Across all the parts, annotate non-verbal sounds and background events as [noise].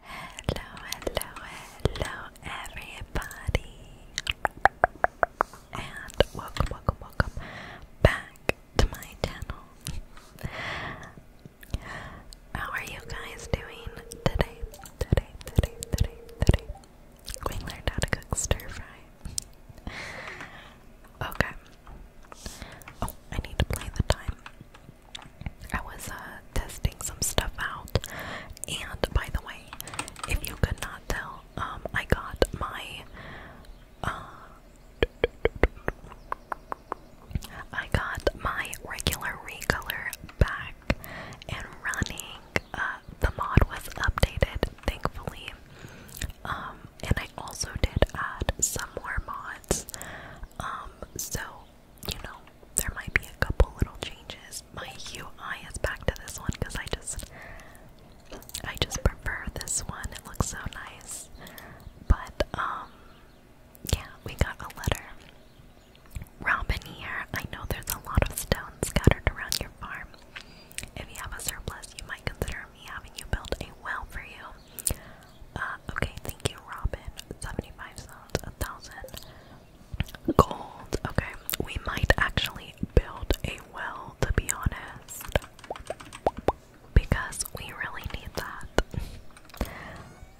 Hello, hello, hello, everybody, and welcome, welcome, welcome back to my channel. How are you guys doing today? Today, today, today, today. We learned how to cook stir fry. Okay. Oh, I need to play the time. I was uh, testing some stuff out, and by the way, if you could not tell, um, I got my, uh, I got my regular recolor back and running. Uh, the mod was updated, thankfully, um, and I also did add some more mods. Um, so you know, there might be a couple little changes. My UI is back to this one because I just I just prefer this one. It looks so nice. But um yeah, we got a letter. Robin here. I know there's a lot of stones scattered around your farm. If you have a surplus, you might consider me having you build a well for you. Uh, okay, thank you, Robin. 75 gold. Okay, we might actually build a well, to be honest. Because we really need that.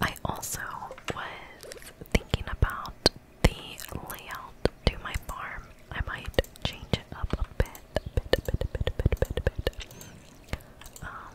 I also was thinking about the layout to my farm. I might change it up a bit, um,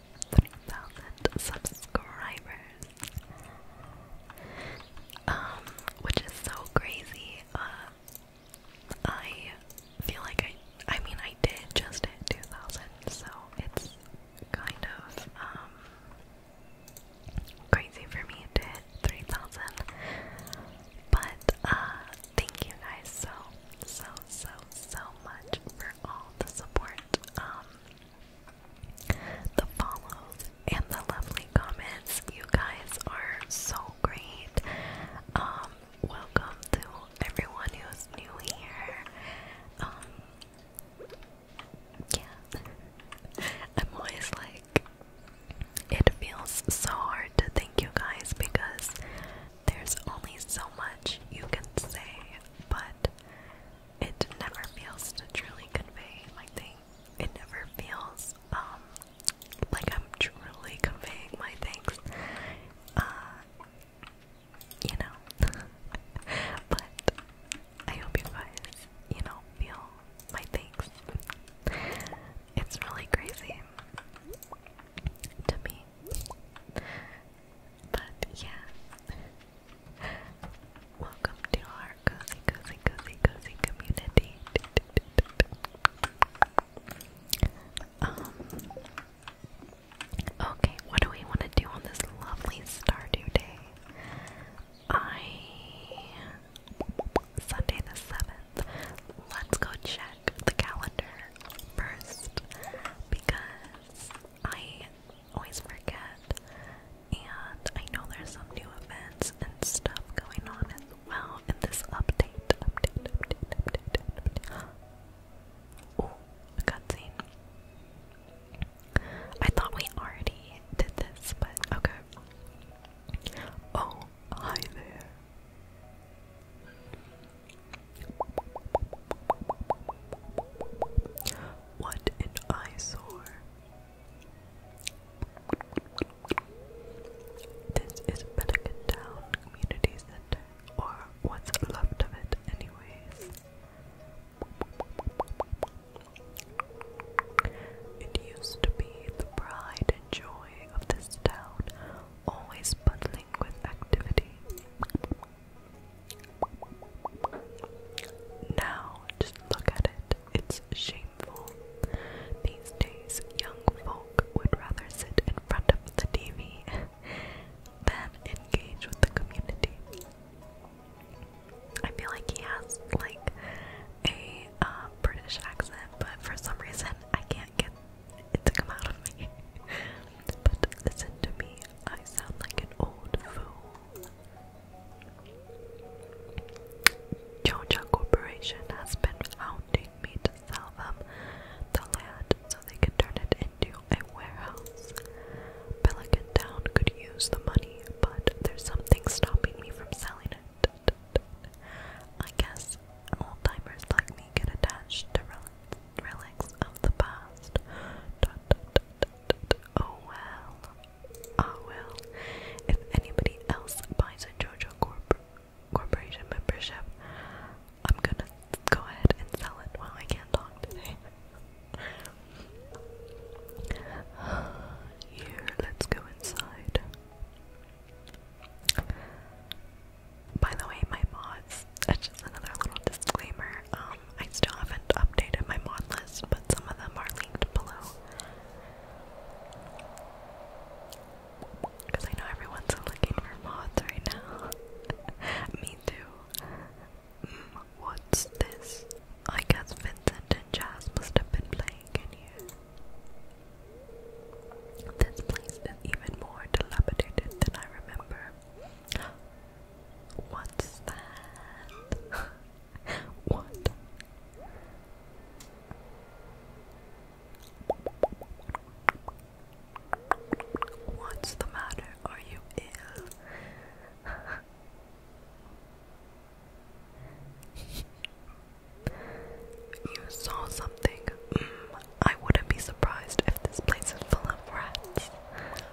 3,000 subscribers. Um, which is so crazy. Uh, I feel like I, I mean, I did just hit 2,000, so it's kind of, um, crazy for me to hit 3,000. But, uh, thank you guys so so, so, so much for all the support, um, the follows, and the lovely comments. You guys are so great. Um, welcome to everyone who's new here. Um, yeah, I'm always like, it feels so hard to thank you guys because there's only so much you can say, but it never feels to truly convey my thing. It never feels um, like I'm truly conveying my things. Uh, you know. [laughs] but I hope you guys, you know, feel my things. It's really crazy to me. But yeah. [laughs] Welcome to our cozy, cozy, cozy, cozy community. Um Okay, what do we want to do on this lovely Stardew Day? I Sunday the seventh. Let's go check the calendar first because I always forget, and I know there's some new events and stuff going on as well in this update. Update, update, update, update. [gasps] Oh, a cutscene. I thought we already did this, but okay. Oh, hi there. What an eyesore. This is Pelican Community Center, or what's left of it, anyways. It used to be the pride and joy of this town, always bustling with activity. Now, just look at it. It's shameful. These days, young folk would rather sit in front of the TV [laughs] than engage with the community. I feel like he has like a uh, British accent, but for some reason I can't get it to come out of me. [laughs] But listen to me, I sound like an old fool. Georgia Corporation has been hounding me to sell them the land so they can turn it into a warehouse. Pelican Town could use the money, but there's something stopping me from selling it. I guess old like me get attached to relics relics of the past. Oh well. Oh well. If anybody else buys a JoJo Corp Corporation membership, I'm gonna go ahead and sell it. Well, I can't talk today. [sighs] Here, let's go inside by the way, my mods, that's uh, just another little disclaimer. Um, I still haven't updated my mod list, but some of them are linked below. Because I know everyone's looking for mods right now. [laughs] Me too. Mm, what's this? I guess Vincent and Jazz must have been playing in here. This place is even more dilapidated than I remember. What's that? [laughs] what? What's the matter? Are you ill? [laughs] you saw something. Mm, I wouldn't be surprised if this place is full of rats.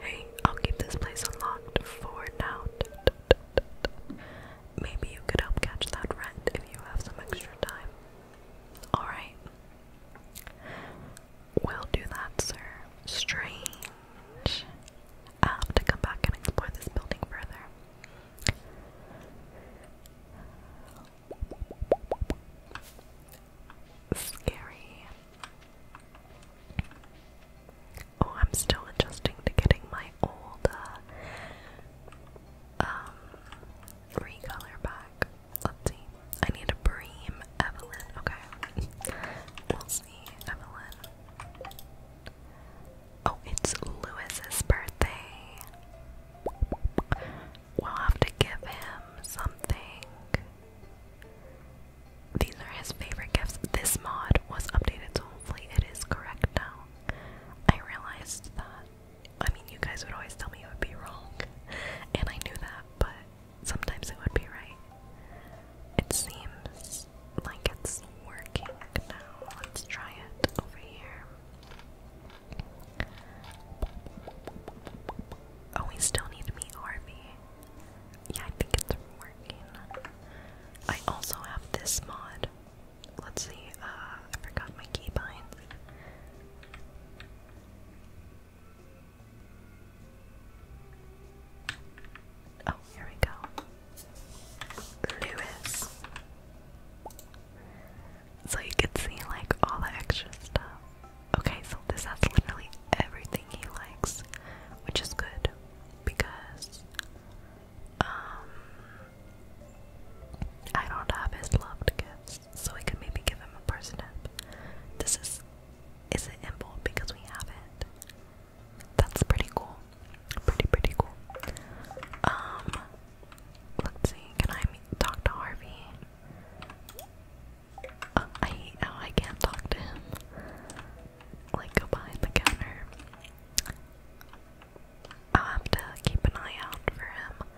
Hey, I'll keep this place unlocked for now. Maybe you could help catch that rat if you have some extra time. Alright. We'll do that, sir. Strange. i have to come back and explore this building further. Scary. Oh, I'm still adjusting to getting my old uh, um recolor back. Let's see. I need a bream, Evelyn. Okay, we'll see, Evelyn. Oh, it's Louis's birthday. We'll have to give him something. These are his favorite gifts. This mod was updated, so hopefully it is correct now. I realized that. I mean, you guys would always tell me it would be wrong, and I knew that, but sometimes it would be right. It seems like it's working now. Let's try it over here. Oh, we still need to meet Harvey yeah, I think it's working. I also have this mod. Let's see, uh, I forgot my keybind. Oh, here we go. Lewis. So you can see like all the extra stuff. Okay, so this has literally everything he likes, which is good because um I don't have his loved gifts, so we could maybe give him a person This is is it Imbold because we have it. That's pretty cool. Pretty pretty cool. Um let's see, can I talk to Harvey? Uh, I oh, I can't talk to him like behind the counter. I'll have to keep an eye out for him.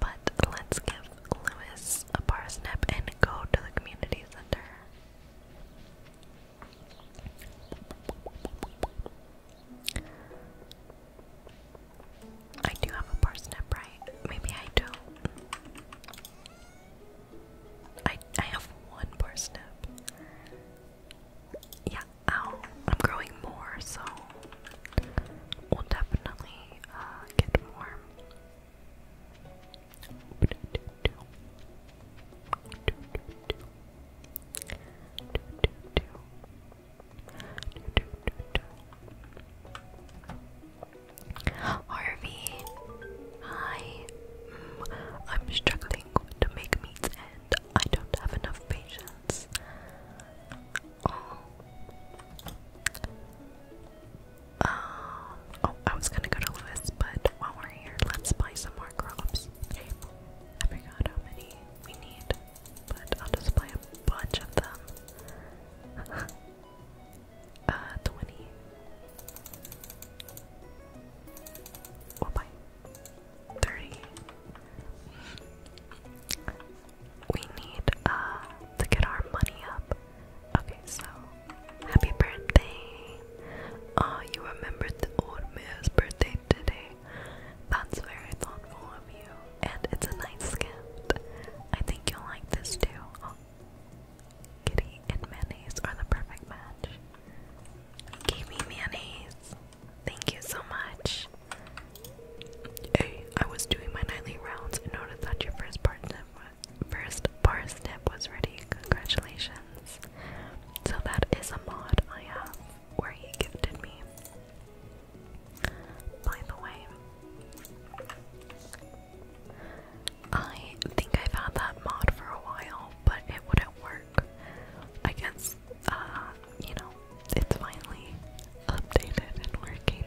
But let's give Lewis a parsnip and go to the community center. I do have a parsnip, right? Maybe I don't. I I have one parsnip. Yeah, ow. I'm growing more, so we'll definitely uh, get more. Harvey, Hi. Mm, I'm struggling to make meats and I don't have enough patience. Oh. Uh, oh, I was gonna go to Lewis, but while we're here, let's buy some more crops. I forgot how many we need, but I'll just buy a bunch of them. [laughs] Uh, 20. we 30. We need, uh, to get our money up. Okay, so, happy birthday! Oh, you remembered the old mayor's birthday today. That's very thoughtful of you, and it's a nice gift. I think you'll like this too. Kitty and mayonnaise are the perfect match. Gave me mayonnaise. Thank you so much. Hey, I was doing my nightly rounds and noticed that your first parsnip, first was ready. Congratulations. So that is a mod I have where he gifted me. By the way, I think I've had that mod for a while, but it wouldn't work. I guess, uh, you know, it's finally updated and working.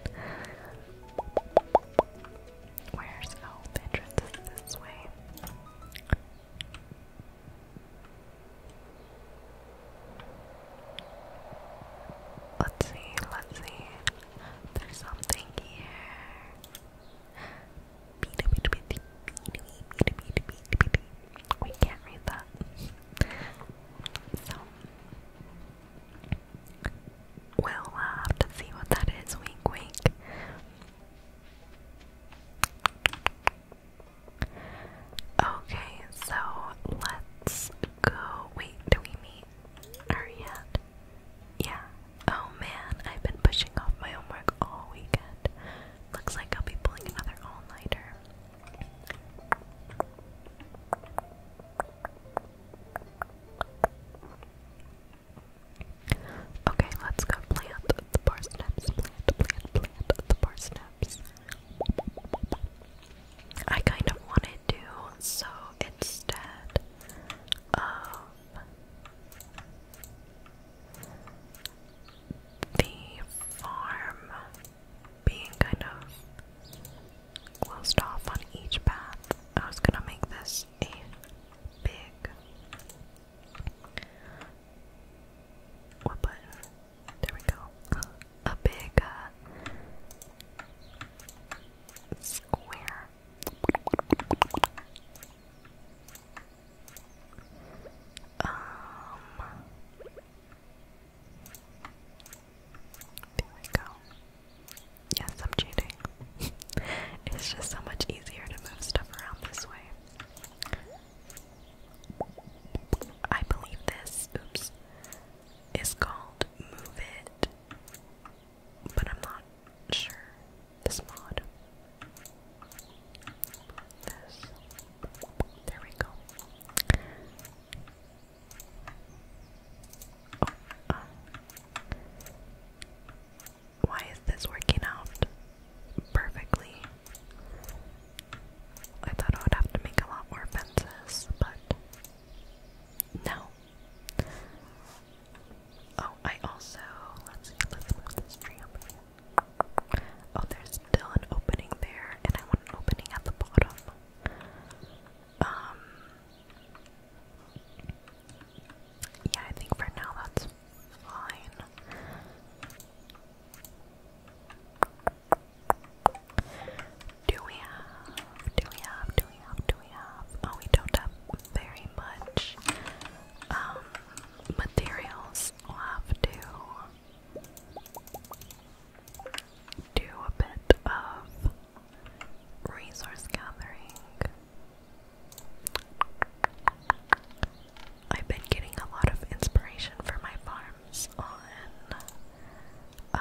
Where's the oh, entrance this way? Let's see, let's see. There's something here. We can't read that. So we'll have to see what that is, wink wink. Okay, so let's go. Wait, do we meet her yet? Yeah. Oh man, I've been pushing off my homework all weekend. Looks like I'll be pulling another all nighter. Okay, let's go plant the parsnips. Plant, plant, plant the parsnips. I kind of wanted to, so instead of the farm being kind of closed off on each path. I was gonna make this a big. What There we go. A big uh, square. Um, there we go. Yes, I'm cheating. [laughs] it's just so much easier to move stuff around this way. I believe this, oops, is called Move It but I'm not sure. This mod. This. There we go. Oh, uh. why is this working out perfectly? I thought I would have to make a lot more fences, but no. Oh, I also let's see, let's look at this tree over here. Oh, there's still an opening there, and I want an opening at the bottom. Um Yeah, I think for now that's fine. Do we have? Do we have? Do we have? Do we have? Oh, we don't have very much um, materials. I'll have to do a bit of resource gathering. I've been getting a lot of inspiration for my farms on uh,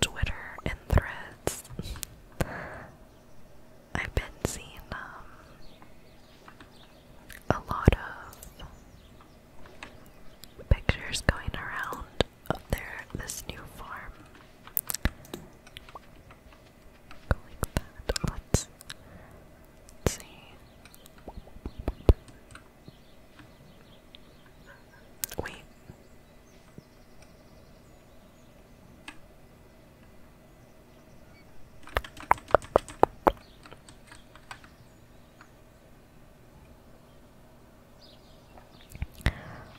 Twitter and threads. I've been seeing um, a lot of pictures going around of their this new farm. like that. let's see. Wait.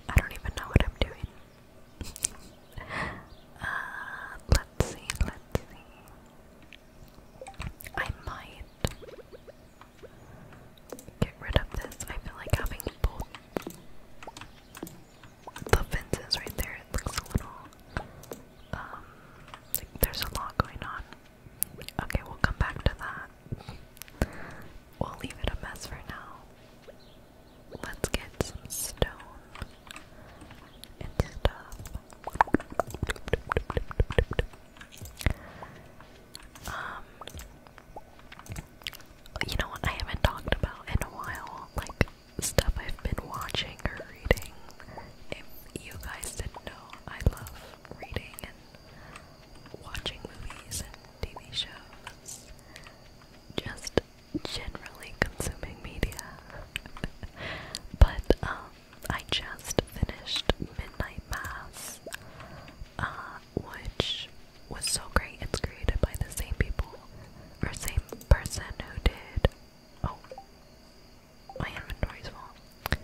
I don't even know what I'm doing. [laughs] Uh, let's see, let's see. I might get rid of this. I feel like having both the fences right there. It looks a little, um, like there's a lot going on. Okay, we'll come back to that. We'll leave it a mess for now. Let's get some stone and stuff. Um, you know what I haven't talked about in a while, like stuff I've been watching or reading. If you guys didn't know, I love reading and watching movies and TV shows. Just generally consuming media. [laughs] but um, I just finished Midnight Mass, uh, which was so great. It's created by the same people or same person who did. Oh, my inventory's full.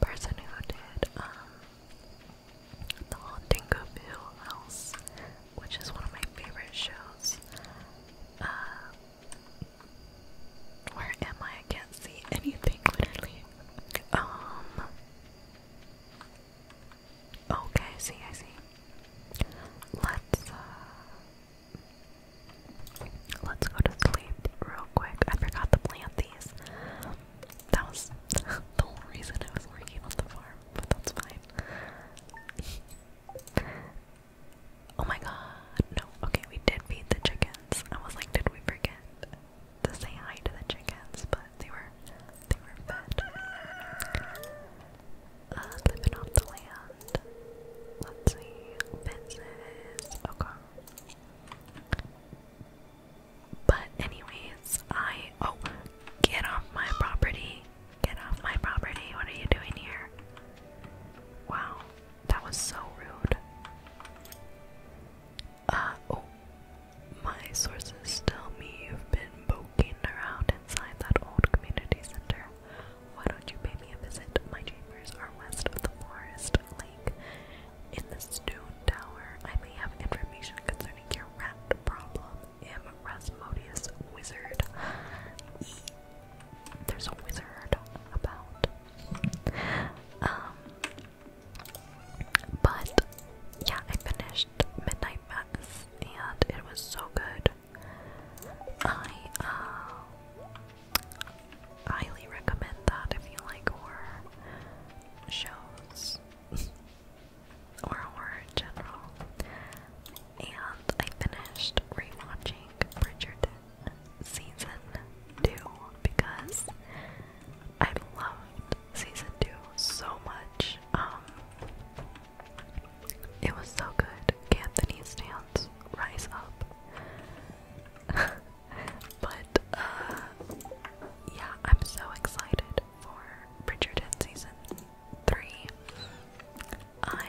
Person who did um the Haunting of Hill House, which is one of my favorite shows. Uh, where am I? I can't see anything literally. Um. Okay, see, I see. Let's uh, let's go to sleep real quick. I forgot to plant these. That was [laughs] the whole reason I was working on the farm, but that's fine. oh my god, no. Okay, we did feed the chickens. I was like, did we forget to say hi to the chickens? But they were they were fed. Uh, living off the land let's see, fences, okay. But anyways, I oh get off my property. Get off my property. What are you doing here? Wow, that was so rude. Uh oh my sources tell me you've been poking around inside that old community center. Why don't you pay me a visit? My chambers are west of the forest lake. In the stone tower, I may have information concerning your rat problem. I'm Rasmodius, wizard. E. There's a wizard about. Um. But yeah, I finished Midnight Mass and it was so good. I uh, highly recommend that if you like horror shows [laughs] or horror general. And I finished rewatching Bridgerton season two because I loved season two so much. Um, it was so good. Cantonese stands rise up. [laughs] but uh yeah, I'm so excited for Bridgerton season three. I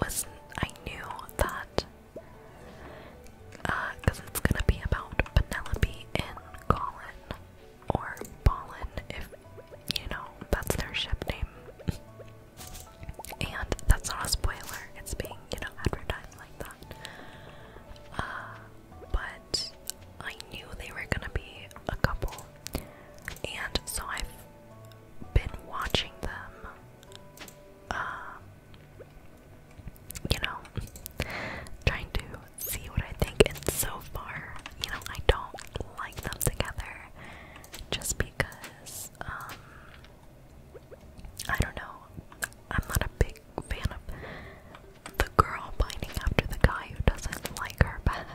was I knew that because uh, it's gonna be about Penelope and Colin or Pollen if you know, that's their ship name. and that's not a spoiler, it's being, you know, advertised like that. Uh, but I knew they were gonna be a couple, and so I've been watching them, uh, you know, trying to see what I think, and so far, you know, I don't like them together just because um, I don't know. I'm not a big fan of the girl pining after the guy who doesn't like her back.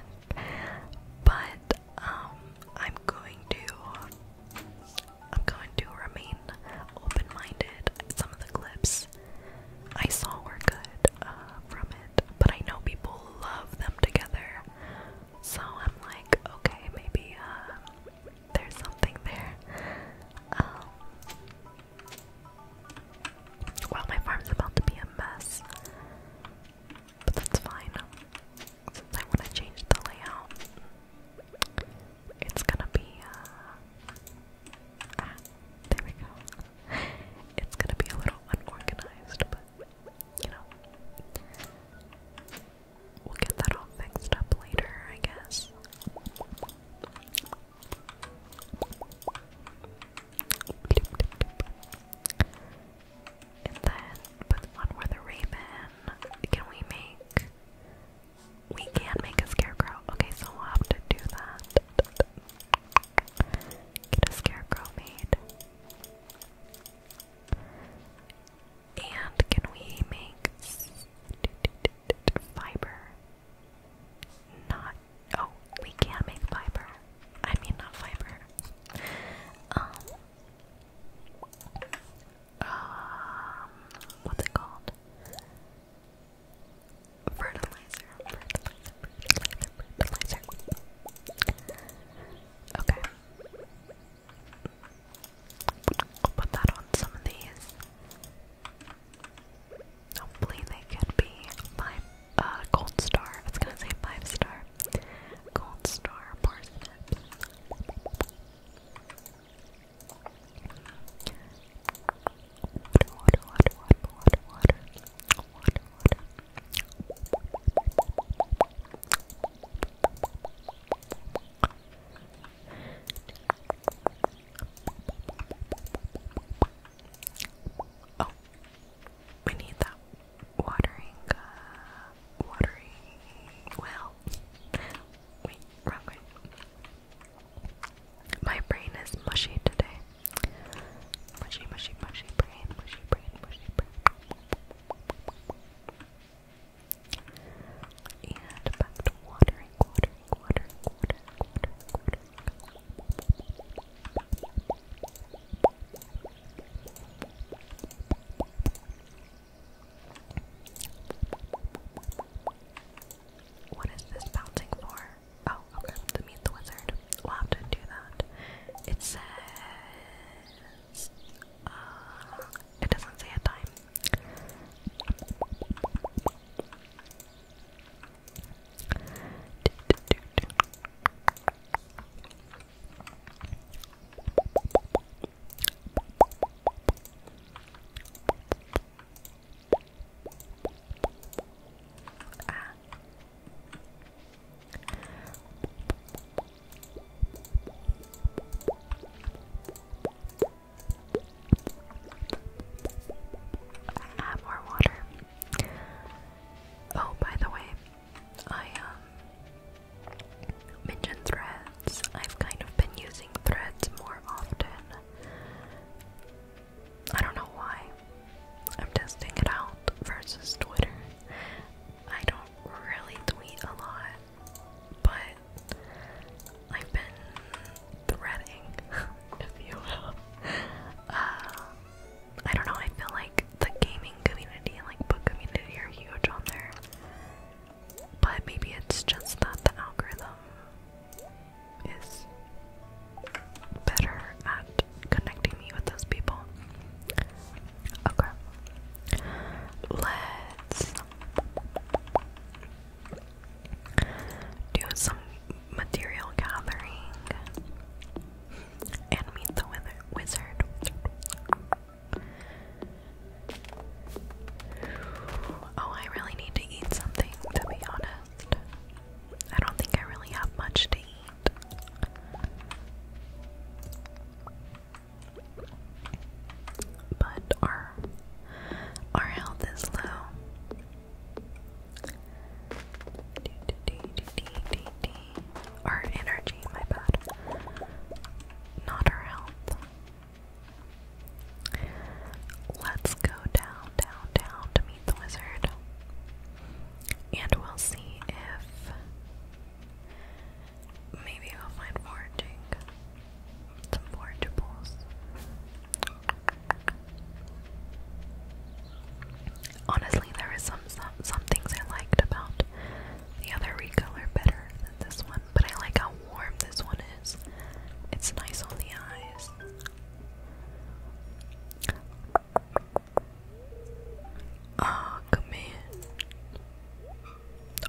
But um, I'm going to I'm going to remain open-minded. Some of the clips I saw were good uh, from but I know people love them together. So I'm like, okay, maybe uh, there's something there. Um, well, my farm's about to be a mess, but that's fine. Since I want to change the layout, it's gonna be. Uh, ah, there we go. It's gonna be a little unorganized, but you know, we'll get that all fixed up later, I guess. And then with one where the raven, can we make? We can make a scarecrow. Okay, so we'll have to do that. Get a scarecrow made. And can we make fiber? Not. Oh, we can make fiber. I mean, not fiber. Um. Um. What's it called? Fertilizer. Fertilizer. Fertilizer. Okay. I'll put that on some of these. Hopefully they could be five uh gold star. It's gonna say five star. Gold star Oh, we need that watering, uh, watering well. Wait, wrong My brain is mushy today. Mushy, mushy, mushy brain, mushy brain, mushy brain. And back to watering, watering, watering, watering, watering, watering. What is this bouncing for? Oh, okay, to meet the wizard. We'll have to do that. It says is uh it doesn't say a time. Ah. Ah, more water. Oh, by the way, I um, mentioned threads. I've kind of been using threads more often. I don't know why. I'm testing it out versus Twitter. I don't really tweet a lot, but I've been threading, [laughs] if you um, I don't know, I feel like the gaming community and like book community are huge on there. But maybe it's just that the algorithm is better at connecting me with those people. Okay. Let's do some material gathering and meet the wizard. Oh, I really need to eat something, to be honest. I don't think I really have much to eat. But our our health is low. Our energy, my bad. Not our health. Let's go down, down, down to meet the wizard. And we'll see if Maybe I'll find foraging. Some forageables. Honestly, there is some, some some things I liked about the other recolor better than this one, but I like how warm this one is. It's nice on the eyes. Ah, oh,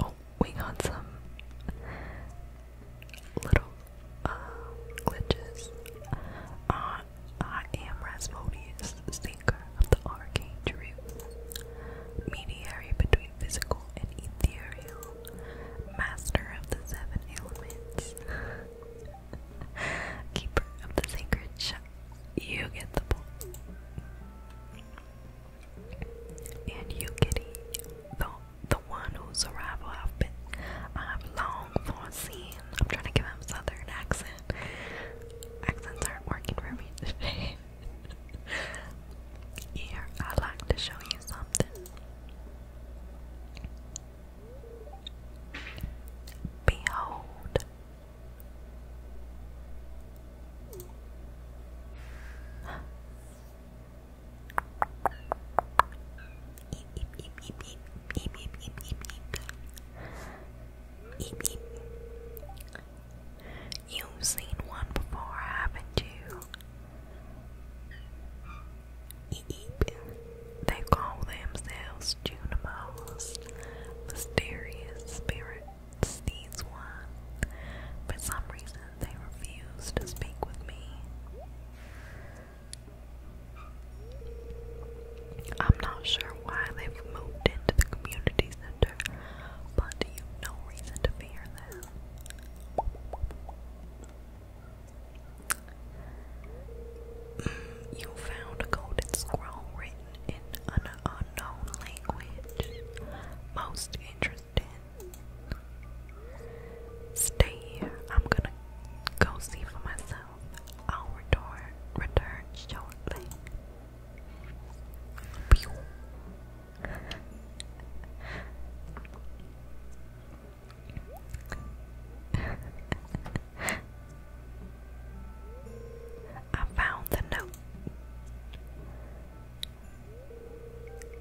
Oh, we got some little uh, glitches. Uh, I am Rasmodius, seeker of the arcane truth, between physical and ethereal, master of the seven elements, [laughs] keeper of the sacred shire. You get the point. And you kitty, the the one whose arrival I've been long foreseen. I'm trying to give him southern accent. Accents aren't working for me today. [laughs] Here, I'd like to show you something. Behold, You've seen one before, haven't you? They call themselves Junimos mysterious spirits, these one. For some reason, they refuse to speak with me. I'm not sure why they've moved into the community center, but you've no reason to fear them. Mm, you found a golden scroll written in an unknown language. Most interesting. Stay here. I'm gonna go see for myself. I'll return, return shortly. [laughs] I found the note.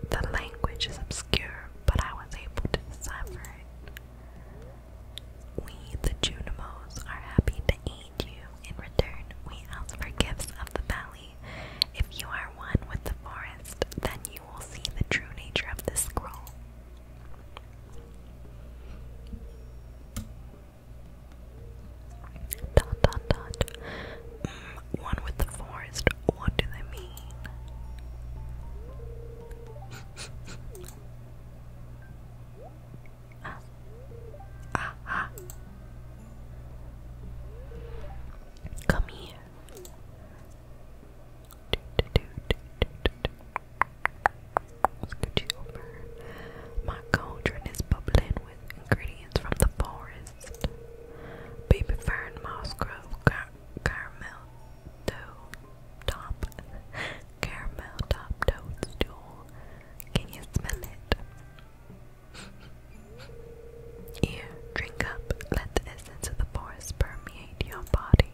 The language is obscure, but I was able to decipher it. We, the Junimos, are happy to eat you. In return, we ask for gifts of the valley. If you are one with the forest, then you will see the true nature of the scroll. Dot dot dot. Mm, one with the forest. What do they mean? ah. Ah, ah. Come here scooch over. My cauldron is bubbling with ingredients from the forest. Baby fern, moss grove, caramel dough top, caramel top toadstool. Can you smell it? Here, drink up. Let the essence of the forest permeate your body.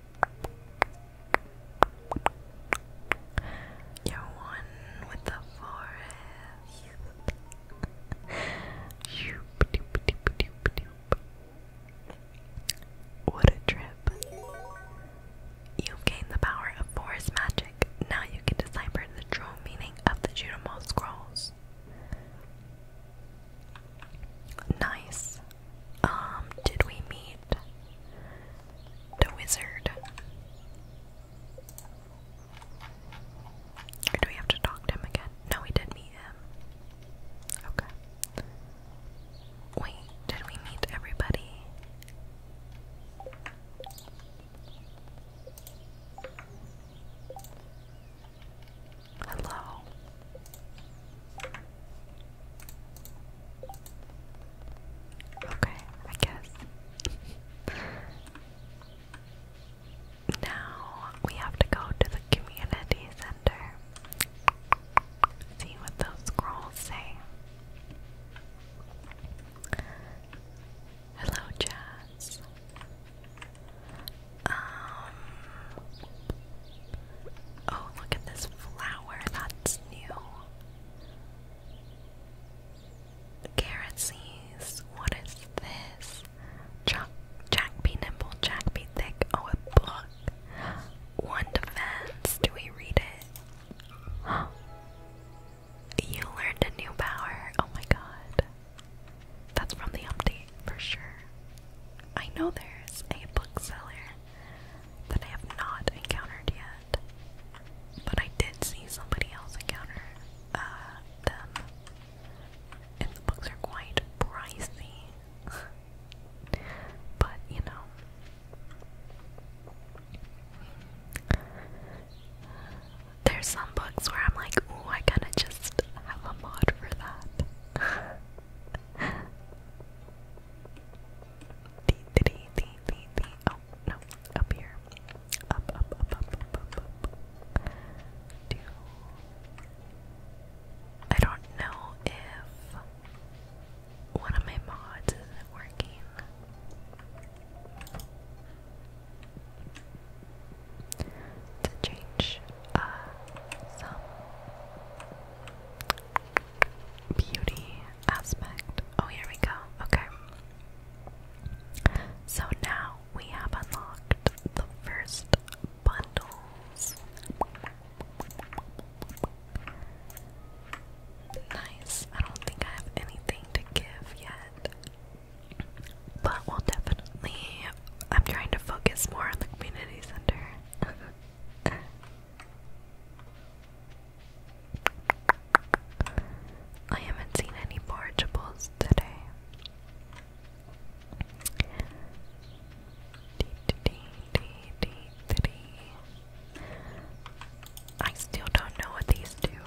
You're one with the forest. What a trip. You've gained the power of forest magic. Now you can decipher the true meaning of the Judamal scrolls. Nice. Um, did we meet the wizard? Or do we have to talk to him again? No, we did meet him. Okay. Wait, did we meet everybody? Hello. Okay, I guess. now we have to go to the community center. See what those scrolls say. Hello, Jazz. Um, Oh, look at this flower. That's new. Carrot What is this? Jack, Jack be nimble, Jack be thick. Oh, a book. One defense. Do we read it? You learned a new power. Oh my god. That's from the update for sure. I know there's a bookseller that I have not encountered yet. But I did see somebody else encounter uh, them. And the books are quite pricey. [laughs] but, you know. There's some books where I'm like, ooh, I kinda just have a mod for that. [laughs] The, the, the, oh, the, the, no. Up here. Up, up, up, up, up, up, Do. I don't know if one of my mods isn't working. To change uh, some beauty aspect. Oh, here we go. Okay. So now we have unlocked the first bundles. Nice. I don't think I have anything to give yet. But we'll definitely. I'm trying to focus more on the community center. [laughs] I haven't seen any portables today. I still don't know what these do.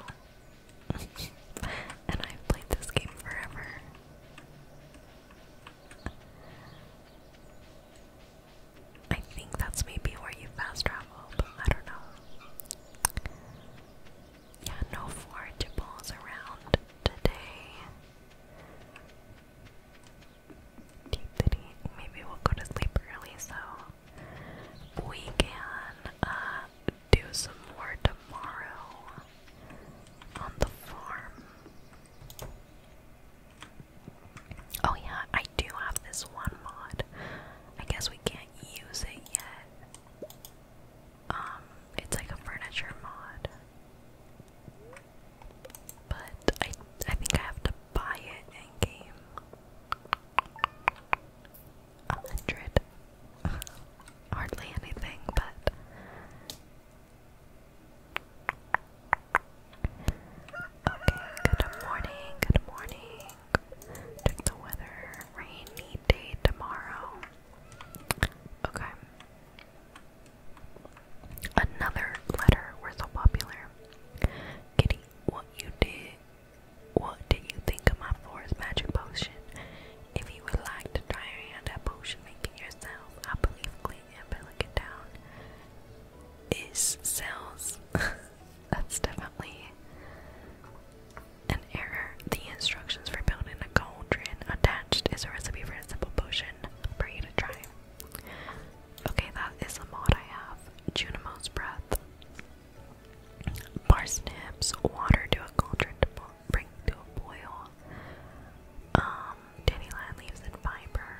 [laughs] and I've played this game forever. I think that's maybe where you fast travel, but I don't know. Yeah, no forageables around today. Maybe we'll go to sleep early so we can uh, do some more tomorrow on the farm. Oh yeah, I do have this one mod. I guess we can't use it yet. Um, it's like a furniture mod. But I I think I have to buy it in game. A hundred. [laughs] Hardly anything, but good morning, good morning. Check the weather. Rainy day tomorrow. Okay. Another letter. We're so popular. Kitty, what you did? What did you think of my forest magic potion? If you would like to try out that potion making yourself, I believe clean and put it down is cells. [laughs] That's definitely an error. The instructions for building a cauldron attached is a recipe for a simple potion for you to try. Okay, that is a mod I have. Junimo's breath. Parsnips, water to a cauldron to bring to a boil. Um, dandelion leaves and fiber.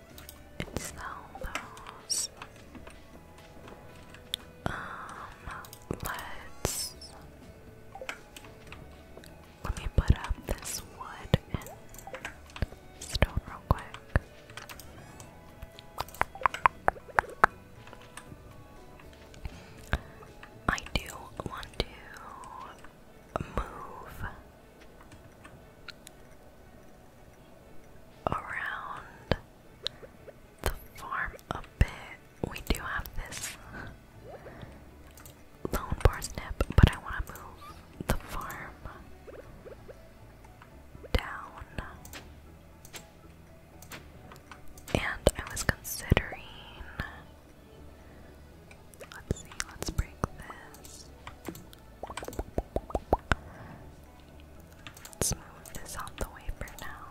It's almost. Um, let's. Let me put up this wood and stone real quick. I do want to move around the farm a bit. We do have this lone parsnip, but I want to move the farm down. And I was considering. Let's see, let's break this. Let's move this out the way for now.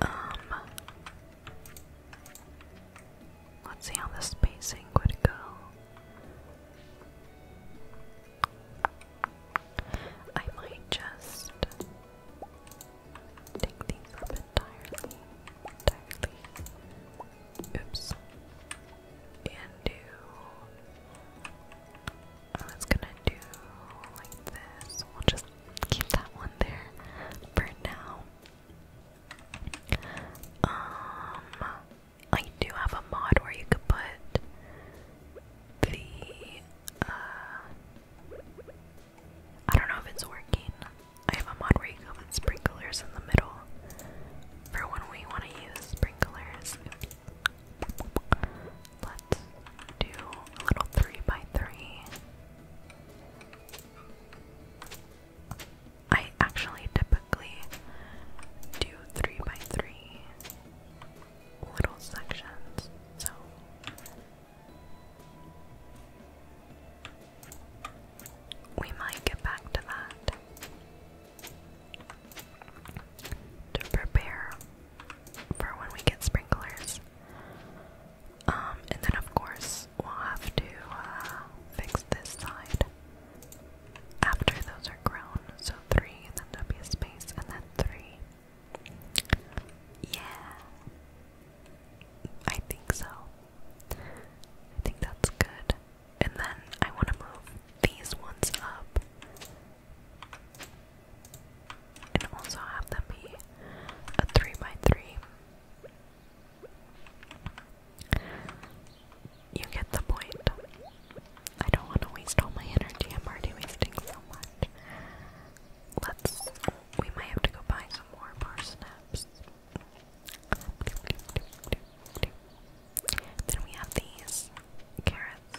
Um Let's see how the spacing would go. I might just take these up entirely, Oops. And do. I was gonna do like this. We'll just keep that one there for now. Um, I do have a mod where you could put the uh, I don't know if it's working. I have a mod where you can put sprinklers in the middle for when we want to use sprinklers. Let's do a little three by three. I actually typically do three by three little sections, so. We might get back to that to prepare for when we get sprinklers. Um, and then of course we'll have to uh, fix this side after those are grown. So three, and then there'll be a space, and then three. Yeah, I think so. I think that's good. And then I want to move these ones up and also have them be a 3x3. You get the point. I don't want to waste all my energy, I'm already wasting so much. Let's. We might have to go buy some more parsnips. Then we have these carrots.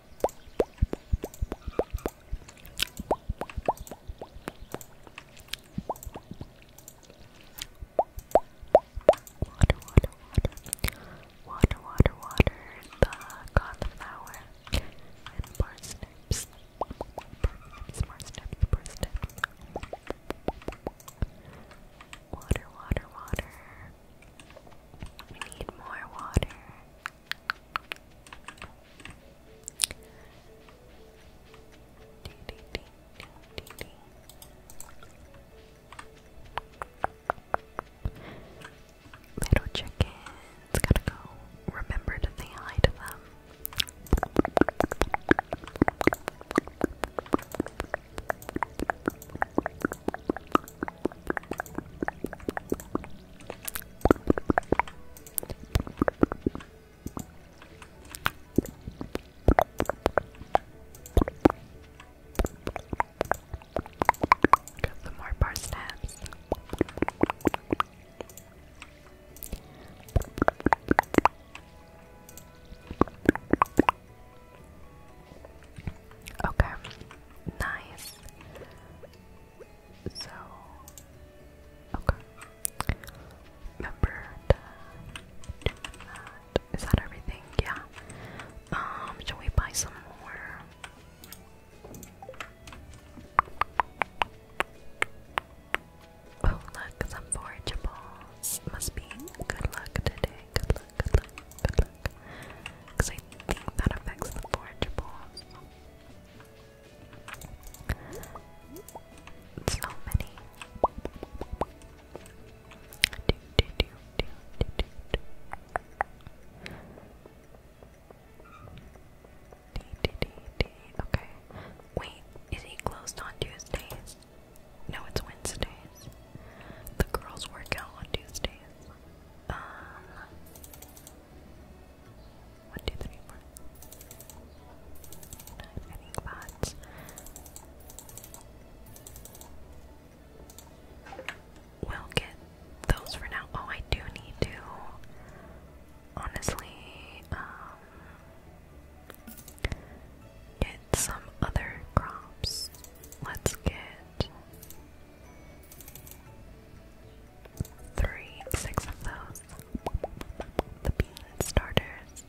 Water, water, water, water, water, the cauliflower and parsnips, parsnips, parsnips, parsnips. Water, water, water. We need more water. Ding, ding, ding, ding, gotta go. Remember to say hi to them. Got some more parsnips. Okay nice. So, okay. Remember to do that. Is that everything? Yeah. Um, shall we buy some more? Oh, look, some forageables. Must be good luck today. Good good luck, good luck. Because I think that affects the forageables. So many. Do, do, do, do, do, do, do. D, D, D, Okay. Wait, is he closed on Tuesdays? No, it's Wednesdays. The girls work out on Tuesdays. Um, I think that's will get those for now. Oh, I do need to honestly um, get some other crops. Let's get Three, six of those. The bean starters.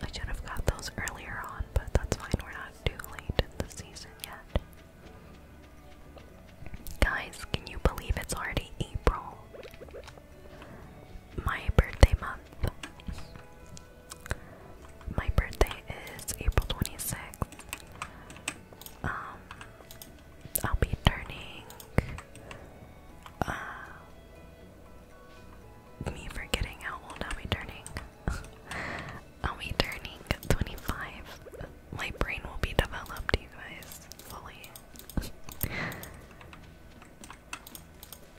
I should have got those earlier on, but that's fine. We're not too late in the season yet. Guys, can you believe it's already April? My birthday month. My birthday is April 26th. Um, I'll be turning. Uh, me forgetting how old I'll be turning. [laughs] I'll be turning 25. My brain will be developed, you guys, fully. [laughs]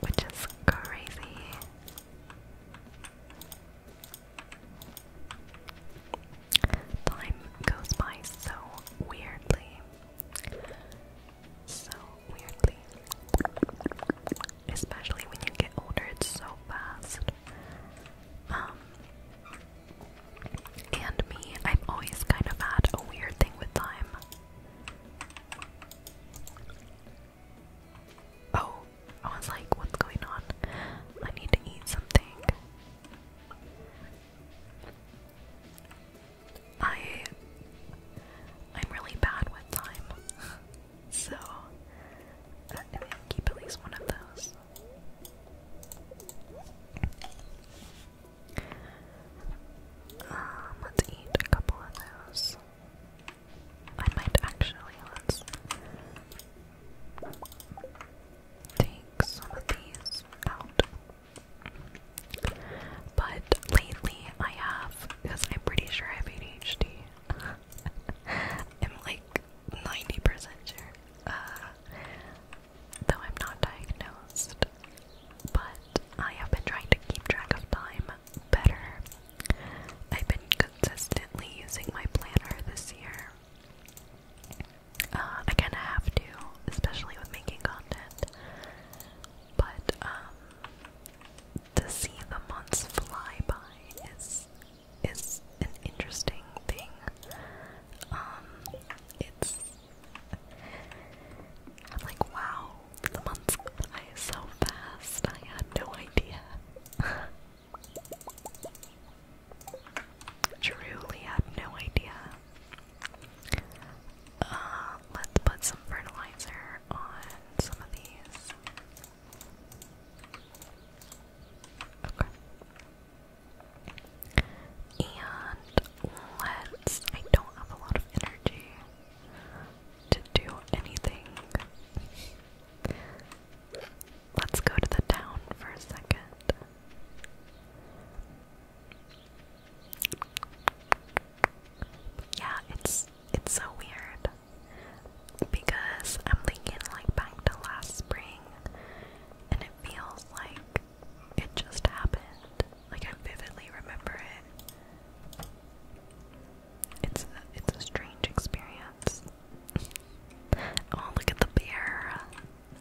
which is crazy. Time goes by so weirdly. So weirdly. Especially when you get older, it's so fast. Um and me, I've always kind of had a weird thing with time. Oh, I was like, what's going on? I need to eat something. I I'm really bad with time. [laughs] So I think i keep at least one of those. Um, let's eat a couple of those. I might actually let's take some of these out. But lately I have, because I'm pretty sure I have ADHD. [laughs] I'm like 90% sure. Uh, though I'm not diagnosed. But I have been trying to keep track of time better I've been consistently using my planner this year. Uh, I kind of have to, especially with making content. But um, to see the months fly by is is an interesting thing. Um, it's I'm like, wow, the months go by so fast. I had no idea. Truly had no idea. Uh, let's put some fertilizer on some of these. Okay. And let's. I don't have a lot of energy to do anything. Let's go to the town for a second. Yeah, it's it's so weird because I'm thinking like back to last spring and it feels like it just happened. Like I vividly remember it. It's a, it's a strange experience. [laughs] oh, look at the bear.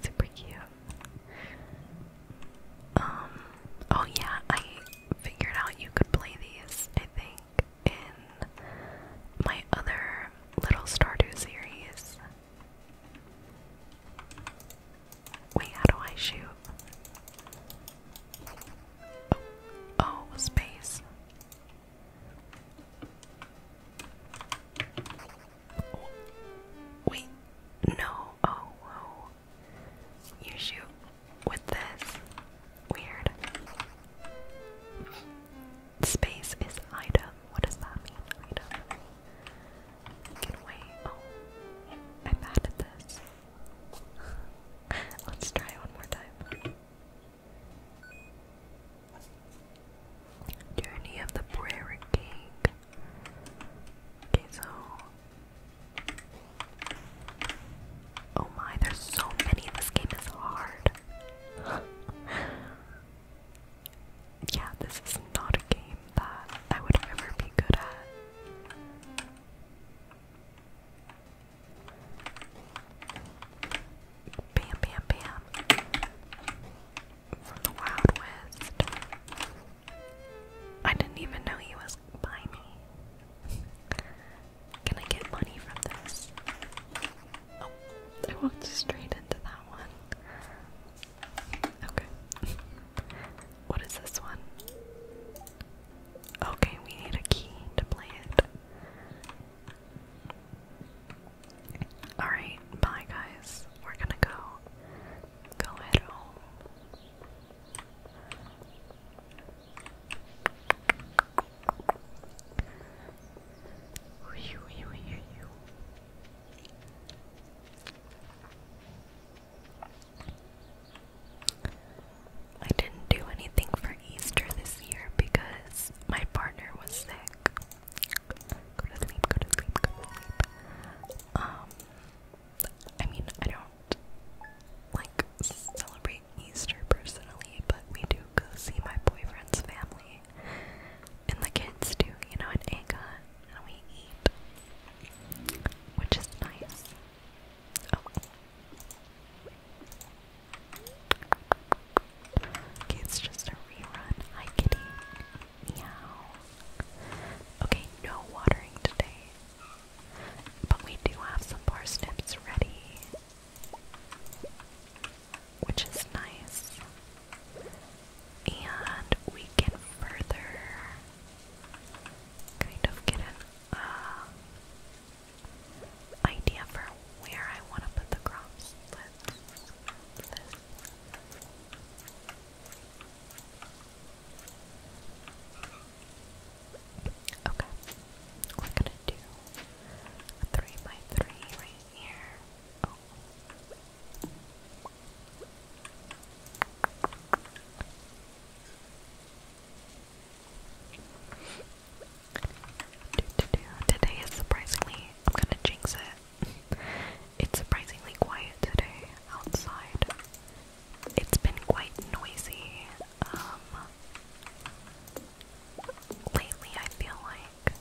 Super cute. Um, oh yeah, I figured out you could play these, I think, in my other little Stardew series. Wait, how do I shoot? Oh, oh space. Wait, no. Oh, oh, You shoot with this. Weird. Space is item. What does that mean? Item. Oh, I'm bad this. Let's try one more time. Journey of the Prairie King. Okay, so. Oh my, there's so many. This game is hard. [laughs] yeah, this is not a game that I would ever be good at. Bam, bam, bam. From the Wild West. I didn't even know he was by me. Can I get money from this? Oh, I walked straight into that one. Okay. [laughs] what is this one? Okay, we need a key to play it. Alright, bye guys. We're gonna go. Go head home. I didn't do anything for Easter this year because my partner was sick. Go to sleep, go to sleep, go to sleep. Um, I mean, I don't like celebrate Easter personally, but we do go see my boyfriend's family and the kids do, you know, an egg hunt and we eat, which is nice. Oh, it's just a rerun. Hi, kitty. Meow. Okay, no watering today. But we do have some parsnips ready. Which is nice. And we can further kind of get an uh, idea for where I want to put the crops. Let's do this. Okay, we're gonna do a three by three right here. Oh. Today is surprisingly, I'm gonna jinx it. It's surprisingly quiet today outside. It's been quite noisy. Um, lately, I feel like,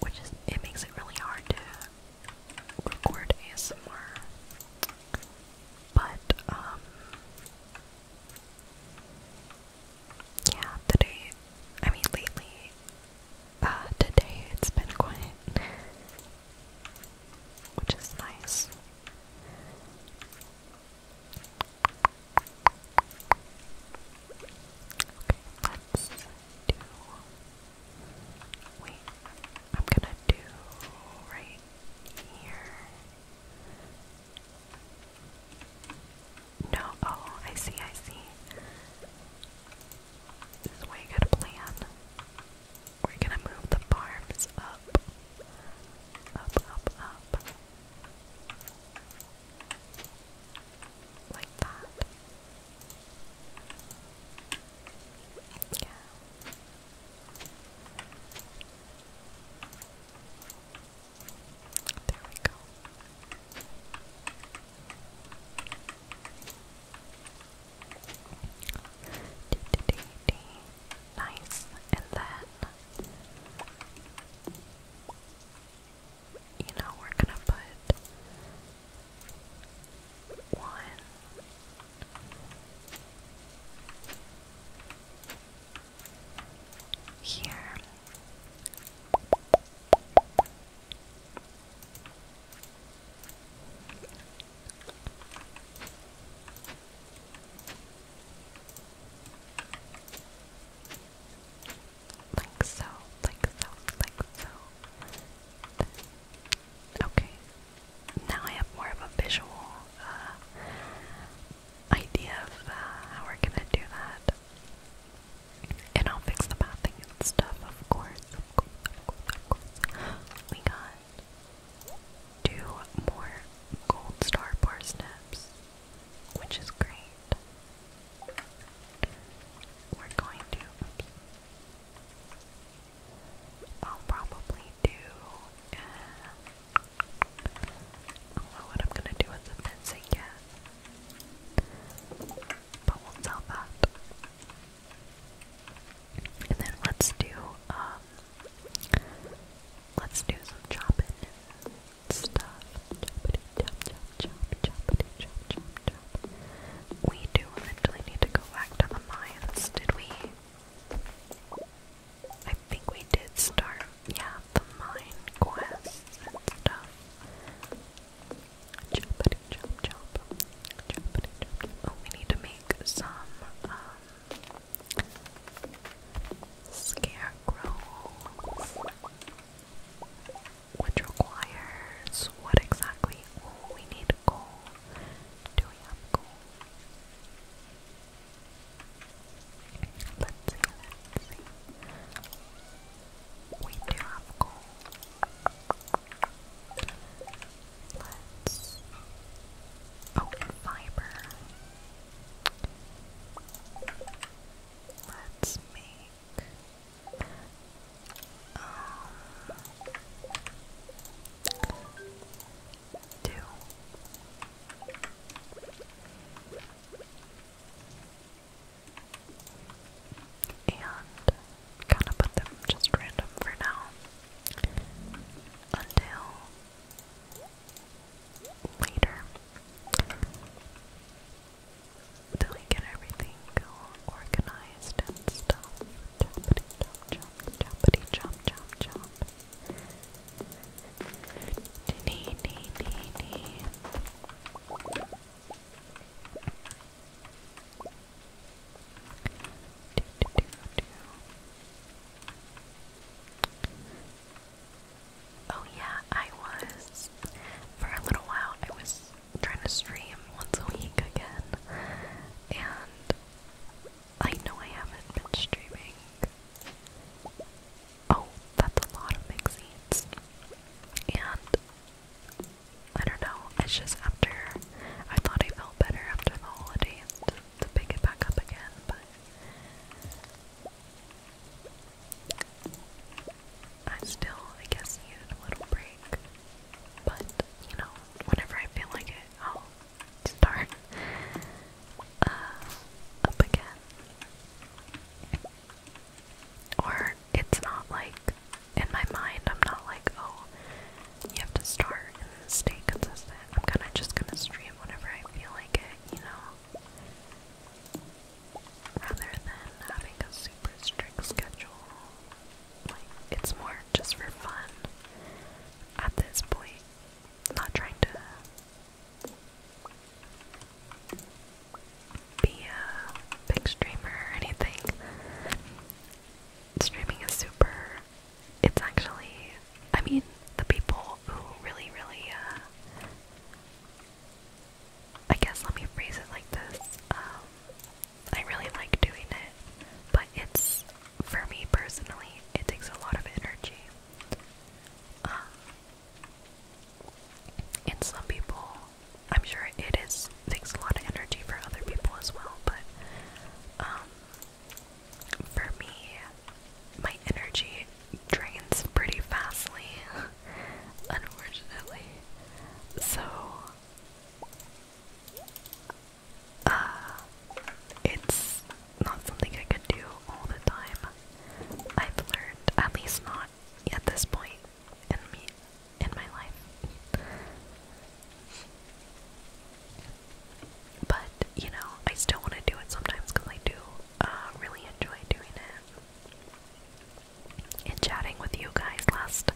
which is it makes it really hard to record somewhere. But, um, yeah, today, I mean, lately, uh, today it's been quiet, which is nice. Okay, let's do. Wait, I'm gonna do right here. No, oh, I see, I see. This is way good plan. We're gonna move the farms up. Up, up, up. Like that. Yeah. There we go. De -de -de -de. Nice. And then you know we're gonna put one here. Like so, like so, like so. Okay, now I have more of a visual uh, idea of uh, how we're gonna do that. And I'll fix the pathing and stuff, of course, We got two more gold star parsnips, which is great. We're going to. I'll probably do. Uh, I don't know what I'm gonna do with the fencing yet, but we'll sell that. And then let's do um, let's do some chopping and stuff. Choppity chop chop chop choppity chop chop chop. We do eventually need to go back to the mines, did we? I think we did start, yeah, the mine quest and stuff. Choppity chop chop. Choppity chop chop. Oh, we need to make some, um, scarecrows. Which requires what exactly? we need coal. Do we have Let's see, let's see. We do have coal. Let's. Oh, fiber. Let's make. Um, two. And kind of put them just random for now until later. Till we get everything organized and stuff. Chompity chomp chompity chomp chomp chomp. Nee nee nee nee. Do, do, do, do. Oh yeah, I was for a little while I was trying to stream once a week again and I know I haven't been streaming. Oh, that's a lot of magazines. And I don't know, it's just after I thought I felt better after the holidays to, pick it back up again, but I still, I guess, needed a little break. But, you know, whenever I feel like it, I'll start uh, up again. Or it's not like, in my mind, I'm not like, oh, you have to start and stay consistent. I'm kind of just gonna stream whenever I feel like it, you know? Rather than having a super strict schedule. Like, it's more just for fun at this point not trying to be a big streamer or anything. Streaming is super. It's actually, I mean, the people who really, really, uh, I guess let me phrase it like this. Um, I really like doing it, but it's for me personally, it takes a lot of energy. Um, and some people, I'm sure it is takes a lot of energy for other people as well, but um, for me, my energy drains pretty fastly, [laughs] unfortunately. So uh, it's not something I could do all the time. I've learned, at least not at this point in me in my life. But you know, I still want to do it sometimes because I do uh, really enjoy doing it. And chatting with you guys last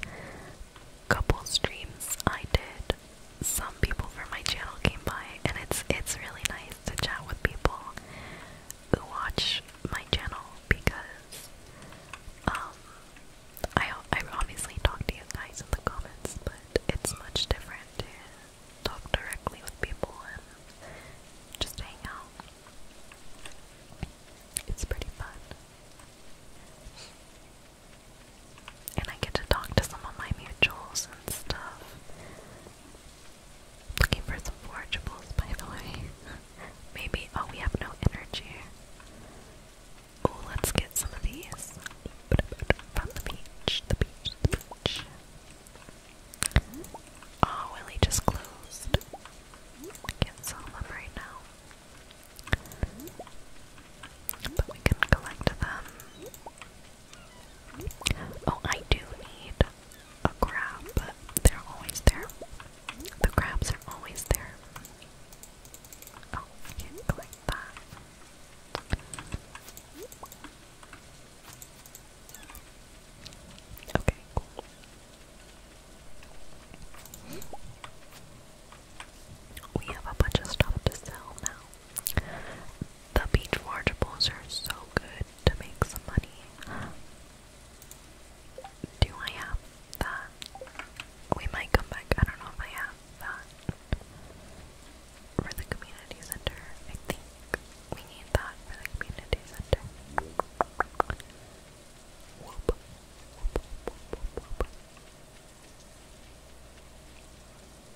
couple streams, I did some people from my channel came by, and it's it's really nice to chat with people who watch my channel because um I I obviously talk to you guys in the comments, but it's much different to talk directly with people and just hang out. It's pretty fun. And I get to talk to some of my mutuals and stuff. Looking for some forageables, by the way. [laughs] Maybe, oh, we have no energy. Oh, let's get some of these from the beach, the beach, the beach. Oh, Willie just closed. Can't sell them right now. But we can collect them Oh, I do need a crab, they're always there. The crabs are always there. Oh, I can't click that. Okay, cool. We have a bunch of stuff to sell now. The beach waterbowls are so good to make some money. Do I have that? We might come back. I don't know if I have that for the community center. I think we need that for the community center.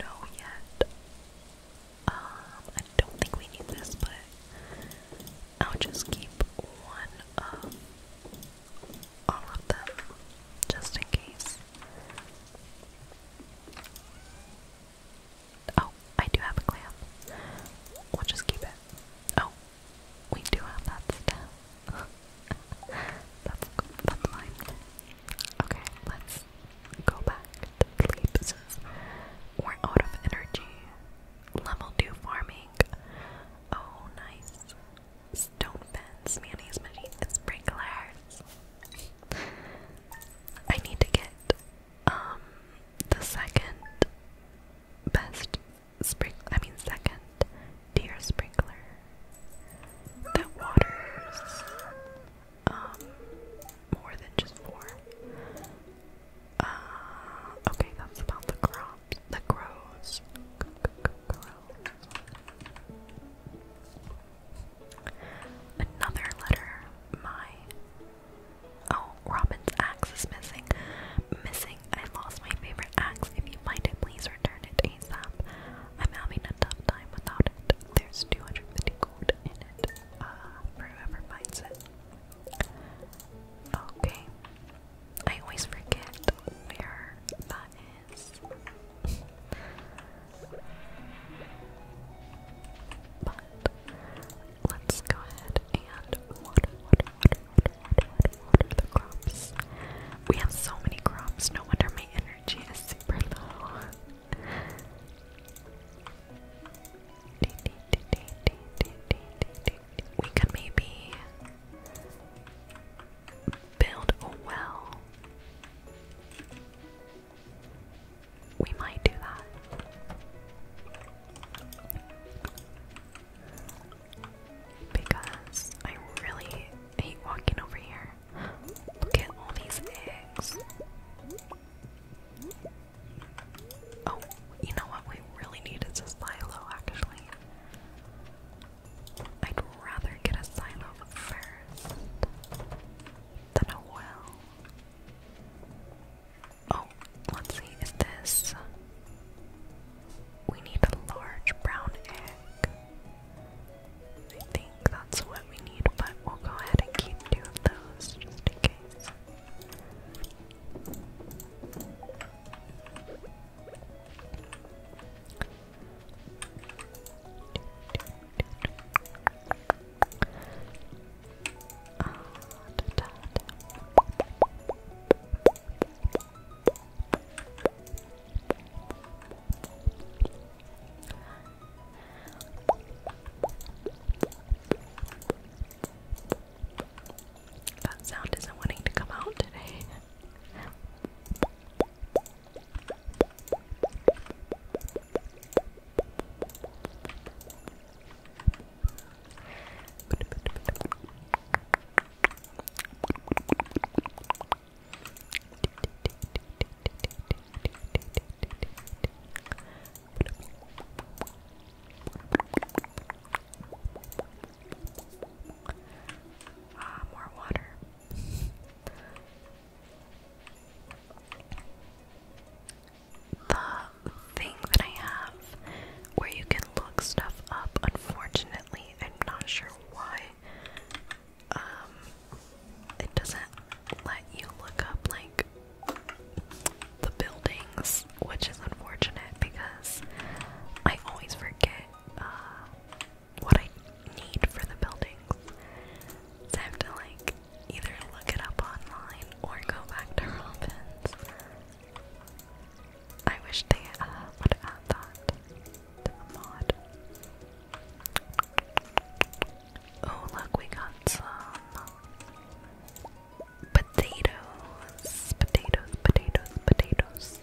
know yet. Um, I don't think we need this, but I'll just keep one of all of them just in case. Oh, I do have a clam. We'll just keep it. Oh, we do have that stuff. [laughs] that's, that's fine. Okay, let's go back to sleep we're out of energy. Level 2 farming. Oh, nice. Stone fence, mayonnaise, machine, sprinklers. I need to get um the second best spring I mean second tier sprinkler The waters um, more than just four. Uh, okay, that's about the crops, the grows. Another letter, my, oh, Robin's axe is missing, missing, I lost my favorite axe, if you find it, please return it ASAP, I'm having a tough time without there's 250 gold in it uh, whoever finds it. Okay. I always forget where that is. but let's go ahead and water, water, water, water, water, water the crops. We have so many crops, no wonder my energy is super low. We could maybe build a well. We might do that. Because I really hate walking over here. Get all these eggs. Oh, you know what we really need is a silo, actually. I'd rather get a silo first than a Oh, let's see, is this. We need a large brown egg. I think that's what we need, but we'll go ahead and keep two of those just in case. That sound isn't wanting to come out today. Ah, more water. the thing that I have where you can look stuff up, unfortunately, I'm not sure why um, it doesn't let you look up like the buildings, which is unfortunate because I always forget uh, what I need for the buildings. So I have to like either look it up online or go back to Robin's. I wish they uh, would add that. Oh, look, we got some potatoes, potatoes, potatoes, potatoes.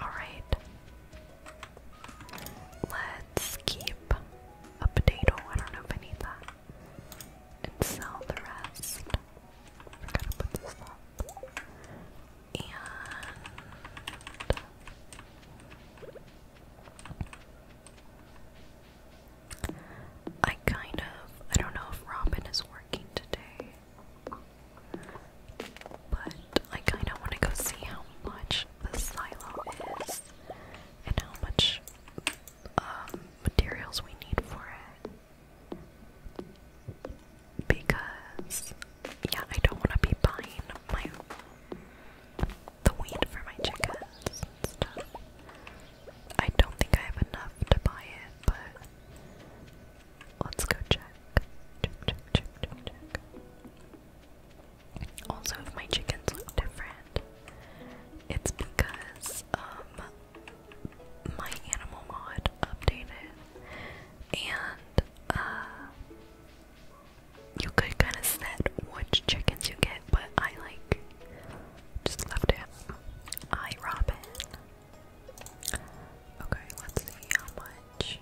Alright. Let's keep a potato. I don't know if I need that. sell the rest. I gotta put this up and I kind of I don't know if Robin is working today. But I kind of want to go see how much the silo is and how much um, materials we need for it because yeah, I don't want to be buying my the weed for my chickens and stuff. I don't think I have enough to buy it, but let's go check. Also, if my chickens look different, it's because um my animal mod updated and uh, you could kind of set which chickens you get, but I like just left it. I Robin. Okay, let's see how much.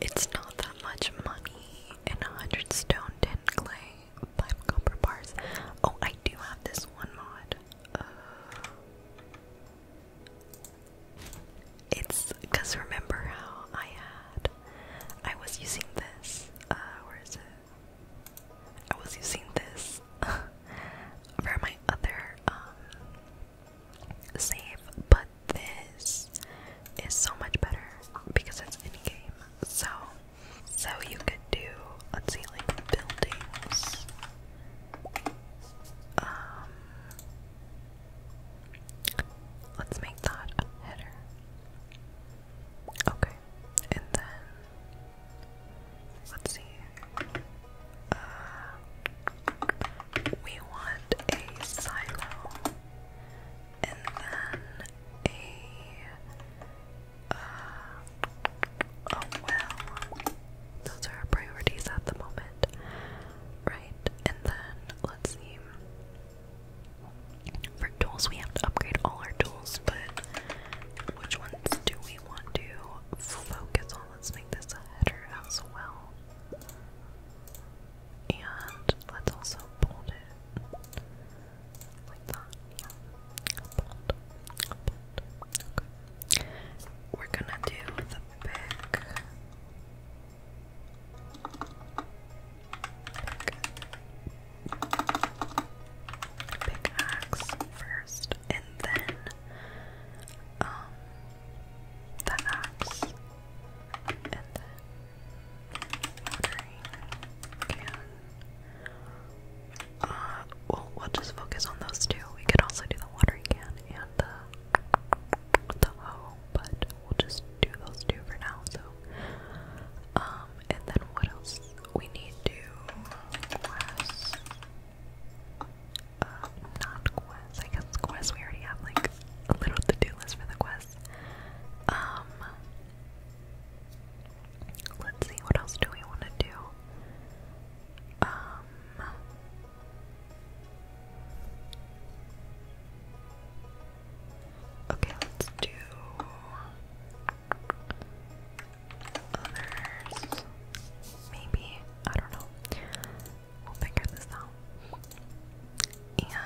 It's not that much money and a hundred stone, ten clay, five copper bars. Oh, I do have this one mod. Uh, it's because remember how I had I was using this uh where is it? I was using this [laughs] for my other um save, but this is so much better because it's in game. So so you could do let's see like buildings um, Let's make that a header. Okay, and then let's see. Uh, we want a silo, and then a uh, a well. Those are our priorities at the moment, right? And then let's see. For tools, we have to upgrade all our tools, but which ones do we want to focus on? Let's make this a header as well. And let's also bold it like that. Yeah. Bold. Bold. Okay. We're gonna do the big Big axe first, and then um, the axe, and then watering can. Uh, well, we'll just focus on those two. We could also do the watering can and the the hoe, but we'll just do those two for now. So, um, and then what else we need to quest? Uh, not quest. I guess quest. We already have like a little to-do list for the quest. Um, let's see. What else do we want to do? Um Okay, let's do others. Maybe. I don't know. We'll figure this out. And unlock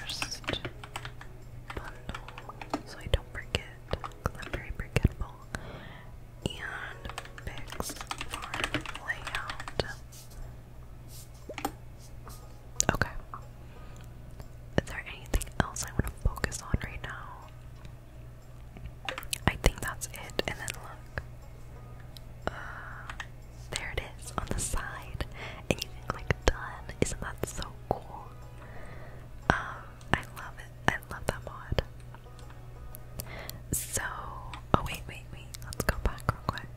first bundle so I don't forget because i And picks for layout. Okay. Is there anything else I want to focus on right now? I think that's it. And then look. Uh, there it is on the side. And you think, like, done. Isn't that so cool? Um, I love it. I love that mod. So, oh wait, wait, wait. Let's go back real quick.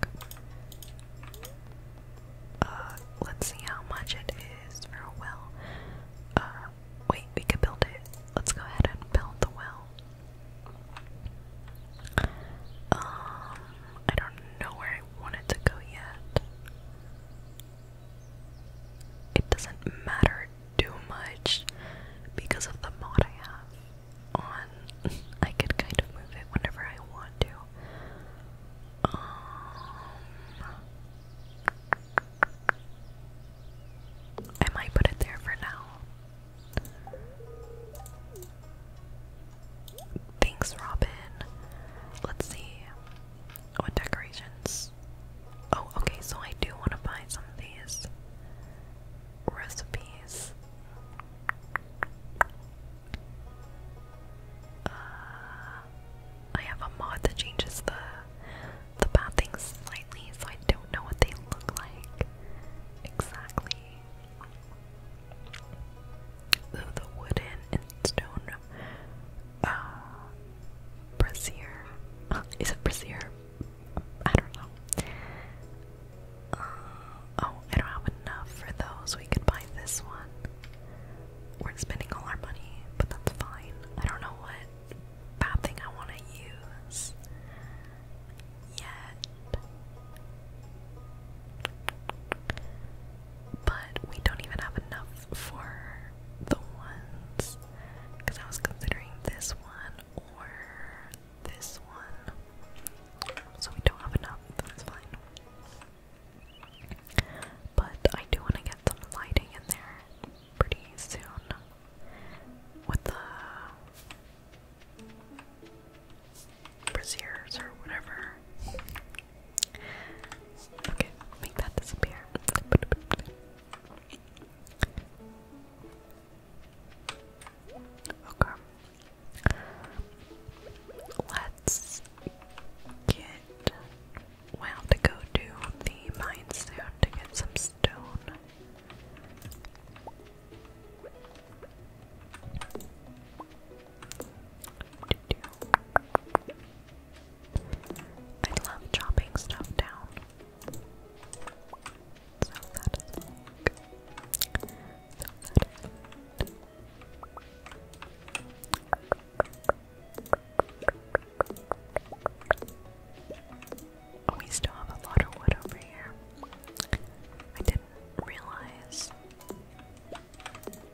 Uh, let's see how much it is for a well. Uh, wait, we could build it. Let's go ahead and build the well. Um, I don't know where I want it to go yet it doesn't matter too much because of the mod I have on. [laughs] I could kind of move it whenever I want to. Um, I might put it there for now. Thanks, Robin. Let's see. Oh, decorations. Oh, okay, so I do want to buy some of these recipes. Uh, I have a mod that changes the the bathing slightly, so I don't know what they look like exactly. the wooden and stone uh, [laughs] is it brassiere? I don't know. Uh, oh, I don't have enough for those. We could buy this one. We're spending all our money, but that's fine. I don't know what bad thing I want to use yet. But we don't even have enough for the ones because I was considering this one or this one. So we don't have enough, that's fine. But I do want to get some lighting in there pretty soon with the braziers or whatever. Okay, make that disappear. Okay. Let's get. we have to go to the mine soon to get some stone. I love chopping stuff down. So oh, we still have a lot of wood over here. I didn't realize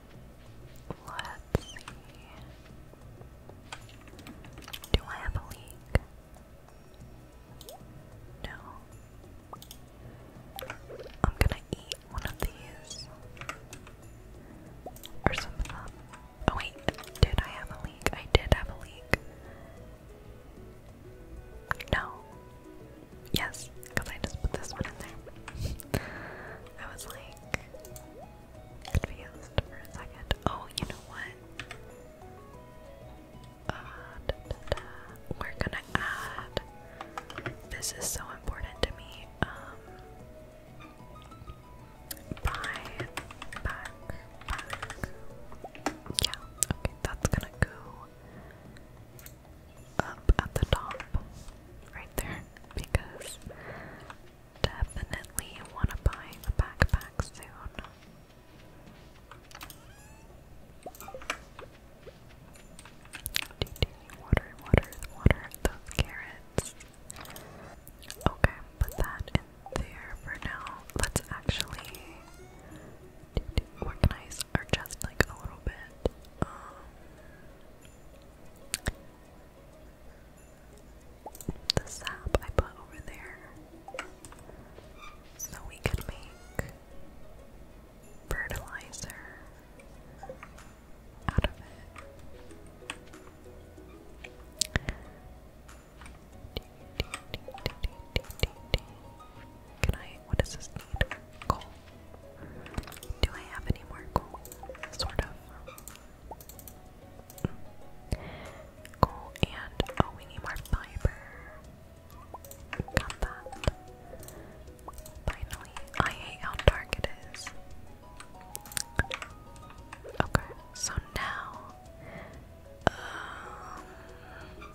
Let's see. Do I have a leak? No. I'm gonna eat one of these. Or some of them. Oh wait, did I have a leak? I did have a leak. No. Yes, because I just put this one in there. [laughs] I was like, confused for a second. Oh, you know what? Uh, We're gonna add. This is so important to me. Um, Yeah, okay, that's gonna go up at the top, right there, because Definitely want to buy the backpack soon. Okay, put that in there for now. Let's actually organize our chest like a little bit. Um, the sap I put over there so we could make fertilizer out of it. Can I? What this Coal. Do I have any more coal? Sort of. Cool, and oh, we need more fiber. Got that. Finally, I hate how dark it is. Okay, so now, um,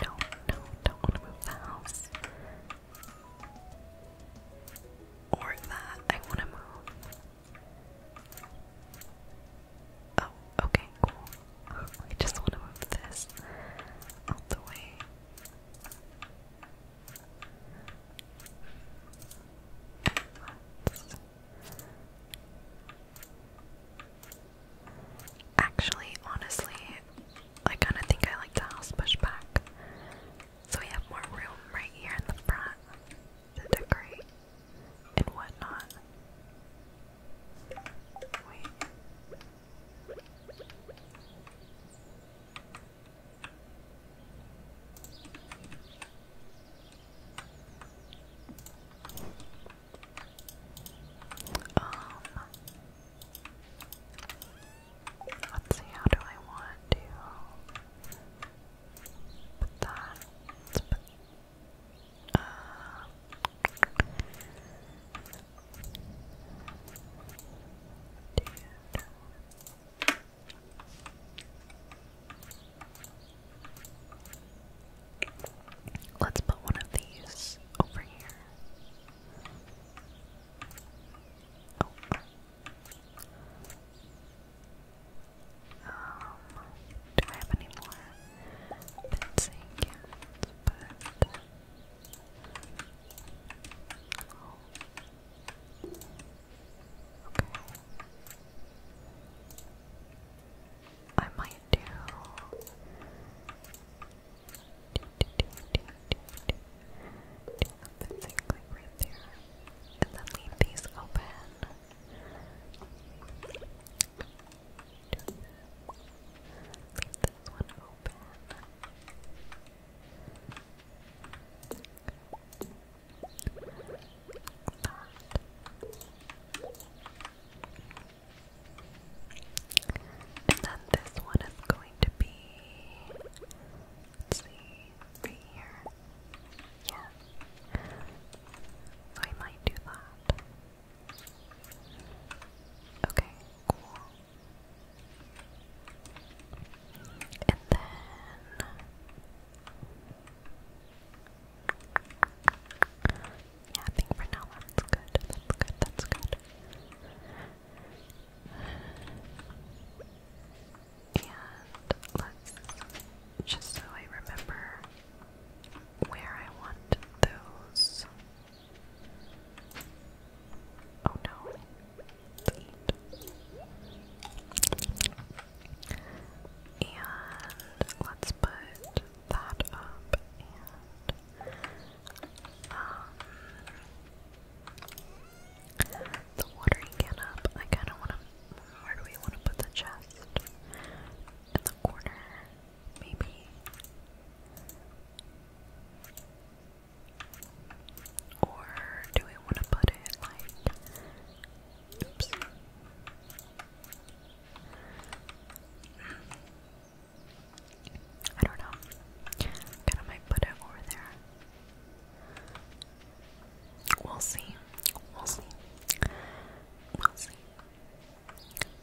no, no, don't want to move house. Or that I want to move. Oh, okay, cool. [laughs] I just want to move this out the way. Actually, honestly, I kind of think I like the house pushed back. So we have more room right here in the front to decorate and whatnot. Um Let's see, how do I want to put that? Let's put, uh, dude. Let's put one of these over here. Oh. Um, do I have any more bits But okay. I might do that's it, And then leave these open. Leave this one open. And then this one is going to be. Let's see, here. Yeah. I might do that. Okay, cool. And then. Yeah, I think for now that's good. That's good. That's good. And let's just so I remember where I want those. Oh no. And let's put that up and um, the watering can up. I kind of want to. Where do we want to put the chest? In the corner, maybe. Or do we want to put it like? Oops. I don't know. Kinda might put it over there. We'll see. We'll see. We'll see.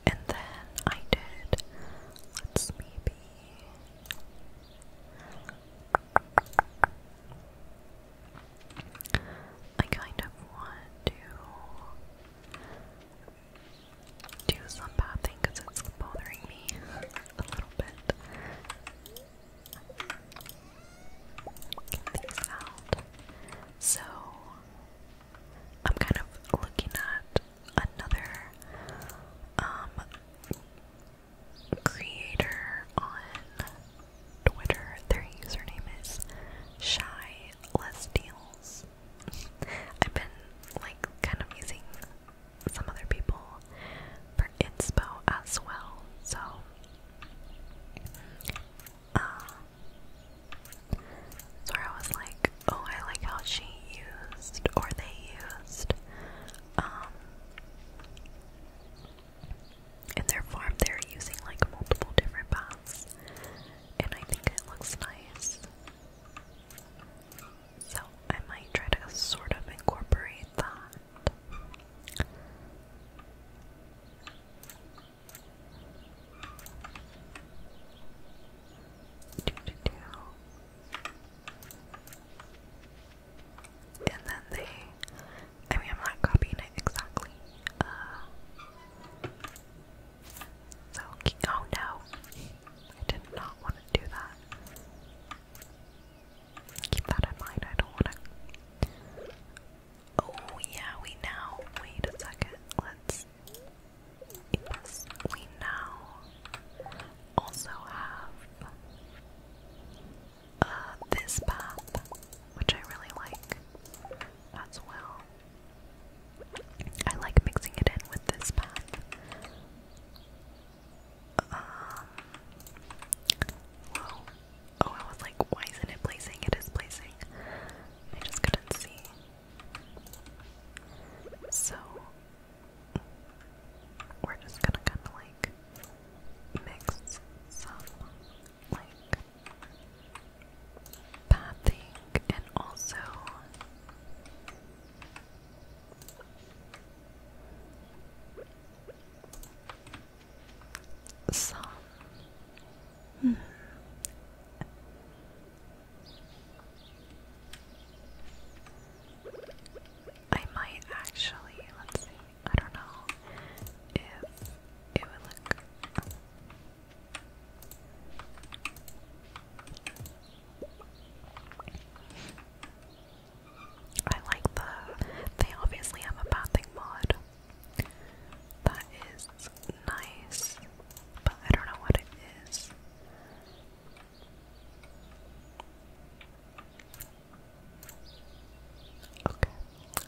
And then I did. Let's maybe. I kind of want to do some bad because it's bothering me [laughs] a little bit. Get these out. So, I'm kind of looking at another um, creator on Twitter. Their username is Shy Less Deals. I've been like kind of using some other people for inspo as well. So, uh, I was like, oh, I like how she used or they used um, in their farm they're using like multiple different paths and I think it looks nice. So I might try to sort of incorporate that. And then they, I mean, I'm not copying it exactly. Uh, so, oh no, I did not want to do that. Keep that in mind, I don't wanna Oh yeah, we now wait a second, let's we now also have uh, this path, which I really like as well. I like mixing it in with this path. Um, well, oh, I was like, why isn't it placing? It is placing. I just couldn't see. So, we're just gonna kind of like mix some like pathing and also some. Hmm. I might actually, let's see, I don't know if it would look. I like the. They obviously have a bathing mod. That is nice, but I don't know what it is. Okay,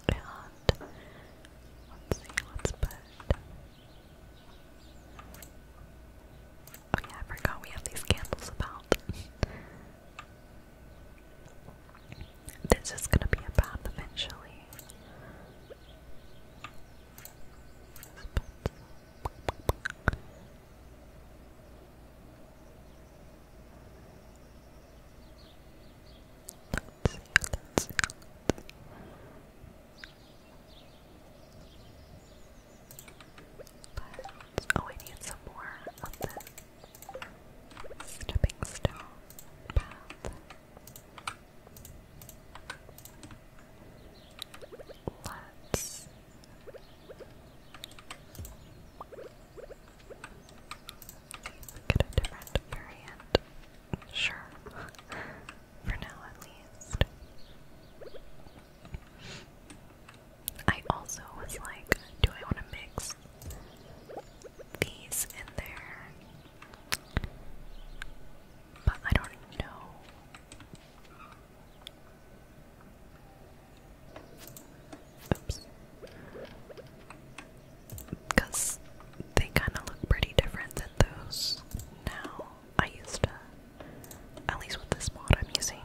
and let's see, let's put. Oh I forgot we have these candles about. this is gonna be a eventually. But, oh, I need some more of this stepping stone path. Let's get a different variant. Sure. [laughs] For now at least. I also was like, do I want to mix these in there? But I don't know. Because they kind of look pretty different than those now. I used to, at least with this mod I'm using,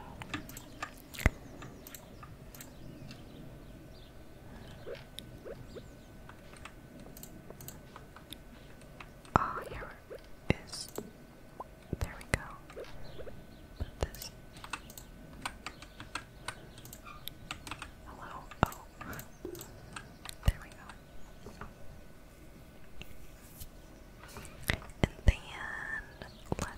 Ah, oh, here is. There we go. this. Hello. Oh. There we go. And then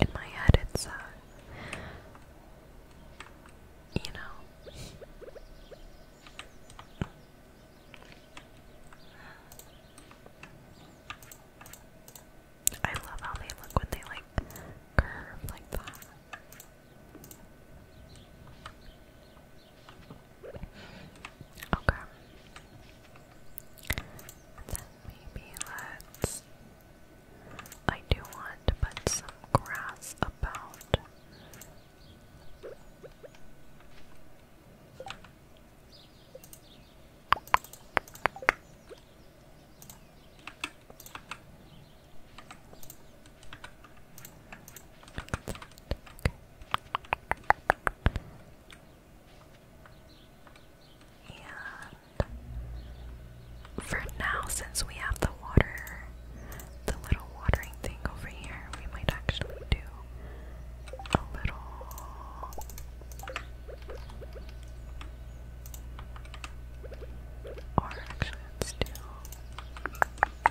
In my head, it's, uh, you know. I love how they look when they like curve like that. Okay. And then maybe let's. I do want to some grass about. And for now, since we have the water, the little watering thing over here, we might actually do a little. Or actually, let do.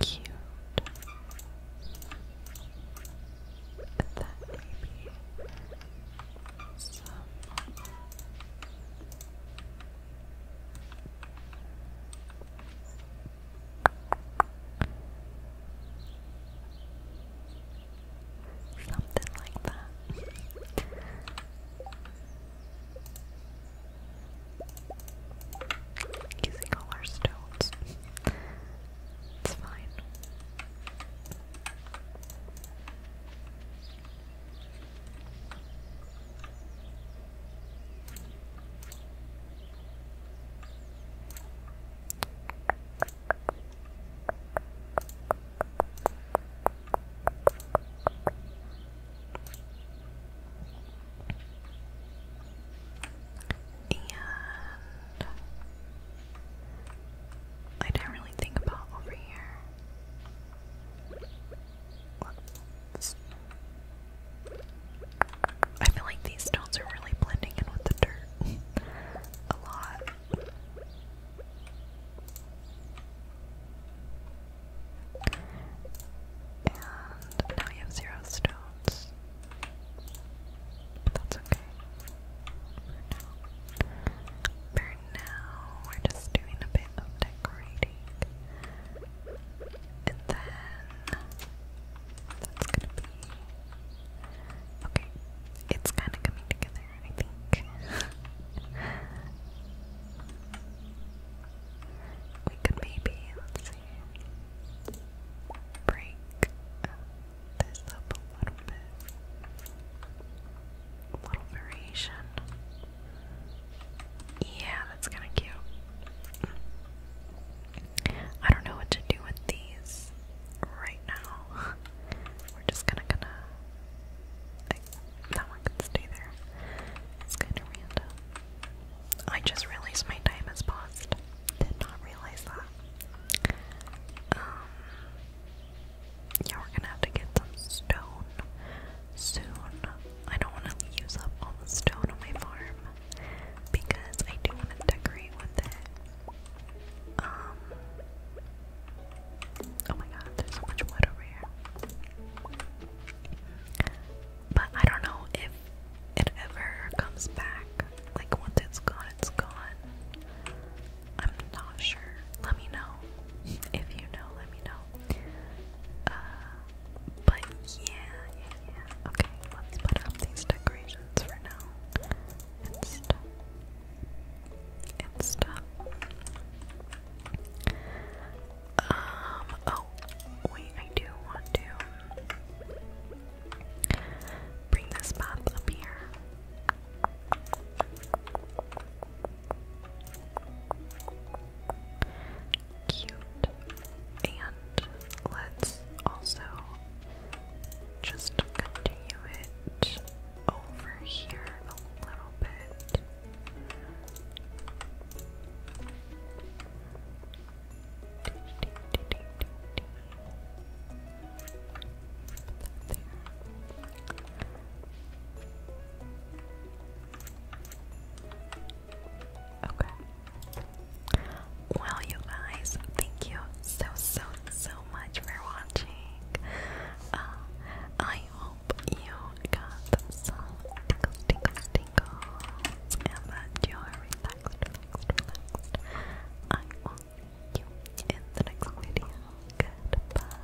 Cute. That may some Something like that. Using all our stones. it's fine. And I didn't really think about over here. I feel like these stones are really blending in with the dirt [laughs] a lot. And now you have zero stones. That's okay. For now, we're just doing a bit of decorating. And then that's gonna be Okay. It's kinda coming together, I think. [laughs] we could maybe, let's see, break this up a little bit. A little variation. Yeah, that's kind of cute. I don't know what to do with these right now. [laughs] We're just kind of gonna. Like, that one can stay there. It's kind of random. I just realized my time has paused. Did not realize that. Um, yeah, we're gonna have to get some stone soon. I don't want to use up all the stone on my farm because I do want to decorate with it. Um, oh my god, there's so much wood over here. But I don't know if it ever comes back. Like once it's gone, it's gone. I'm not sure. Let me know. [laughs] If you know, let me know. Uh, but yeah, yeah, yeah. Okay, let's put up these decorations for now. And stuff. And stuff. Um, oh, wait, I do want to bring this map up here. Cute. And let's also just continue it over here a little bit. Okay. Well, you guys, thank you so, so, so much for watching. Uh, I hope you got some tickles, tickles, tickles tingles and that you are relaxed, relaxed. I will see you in the next video. Goodbye.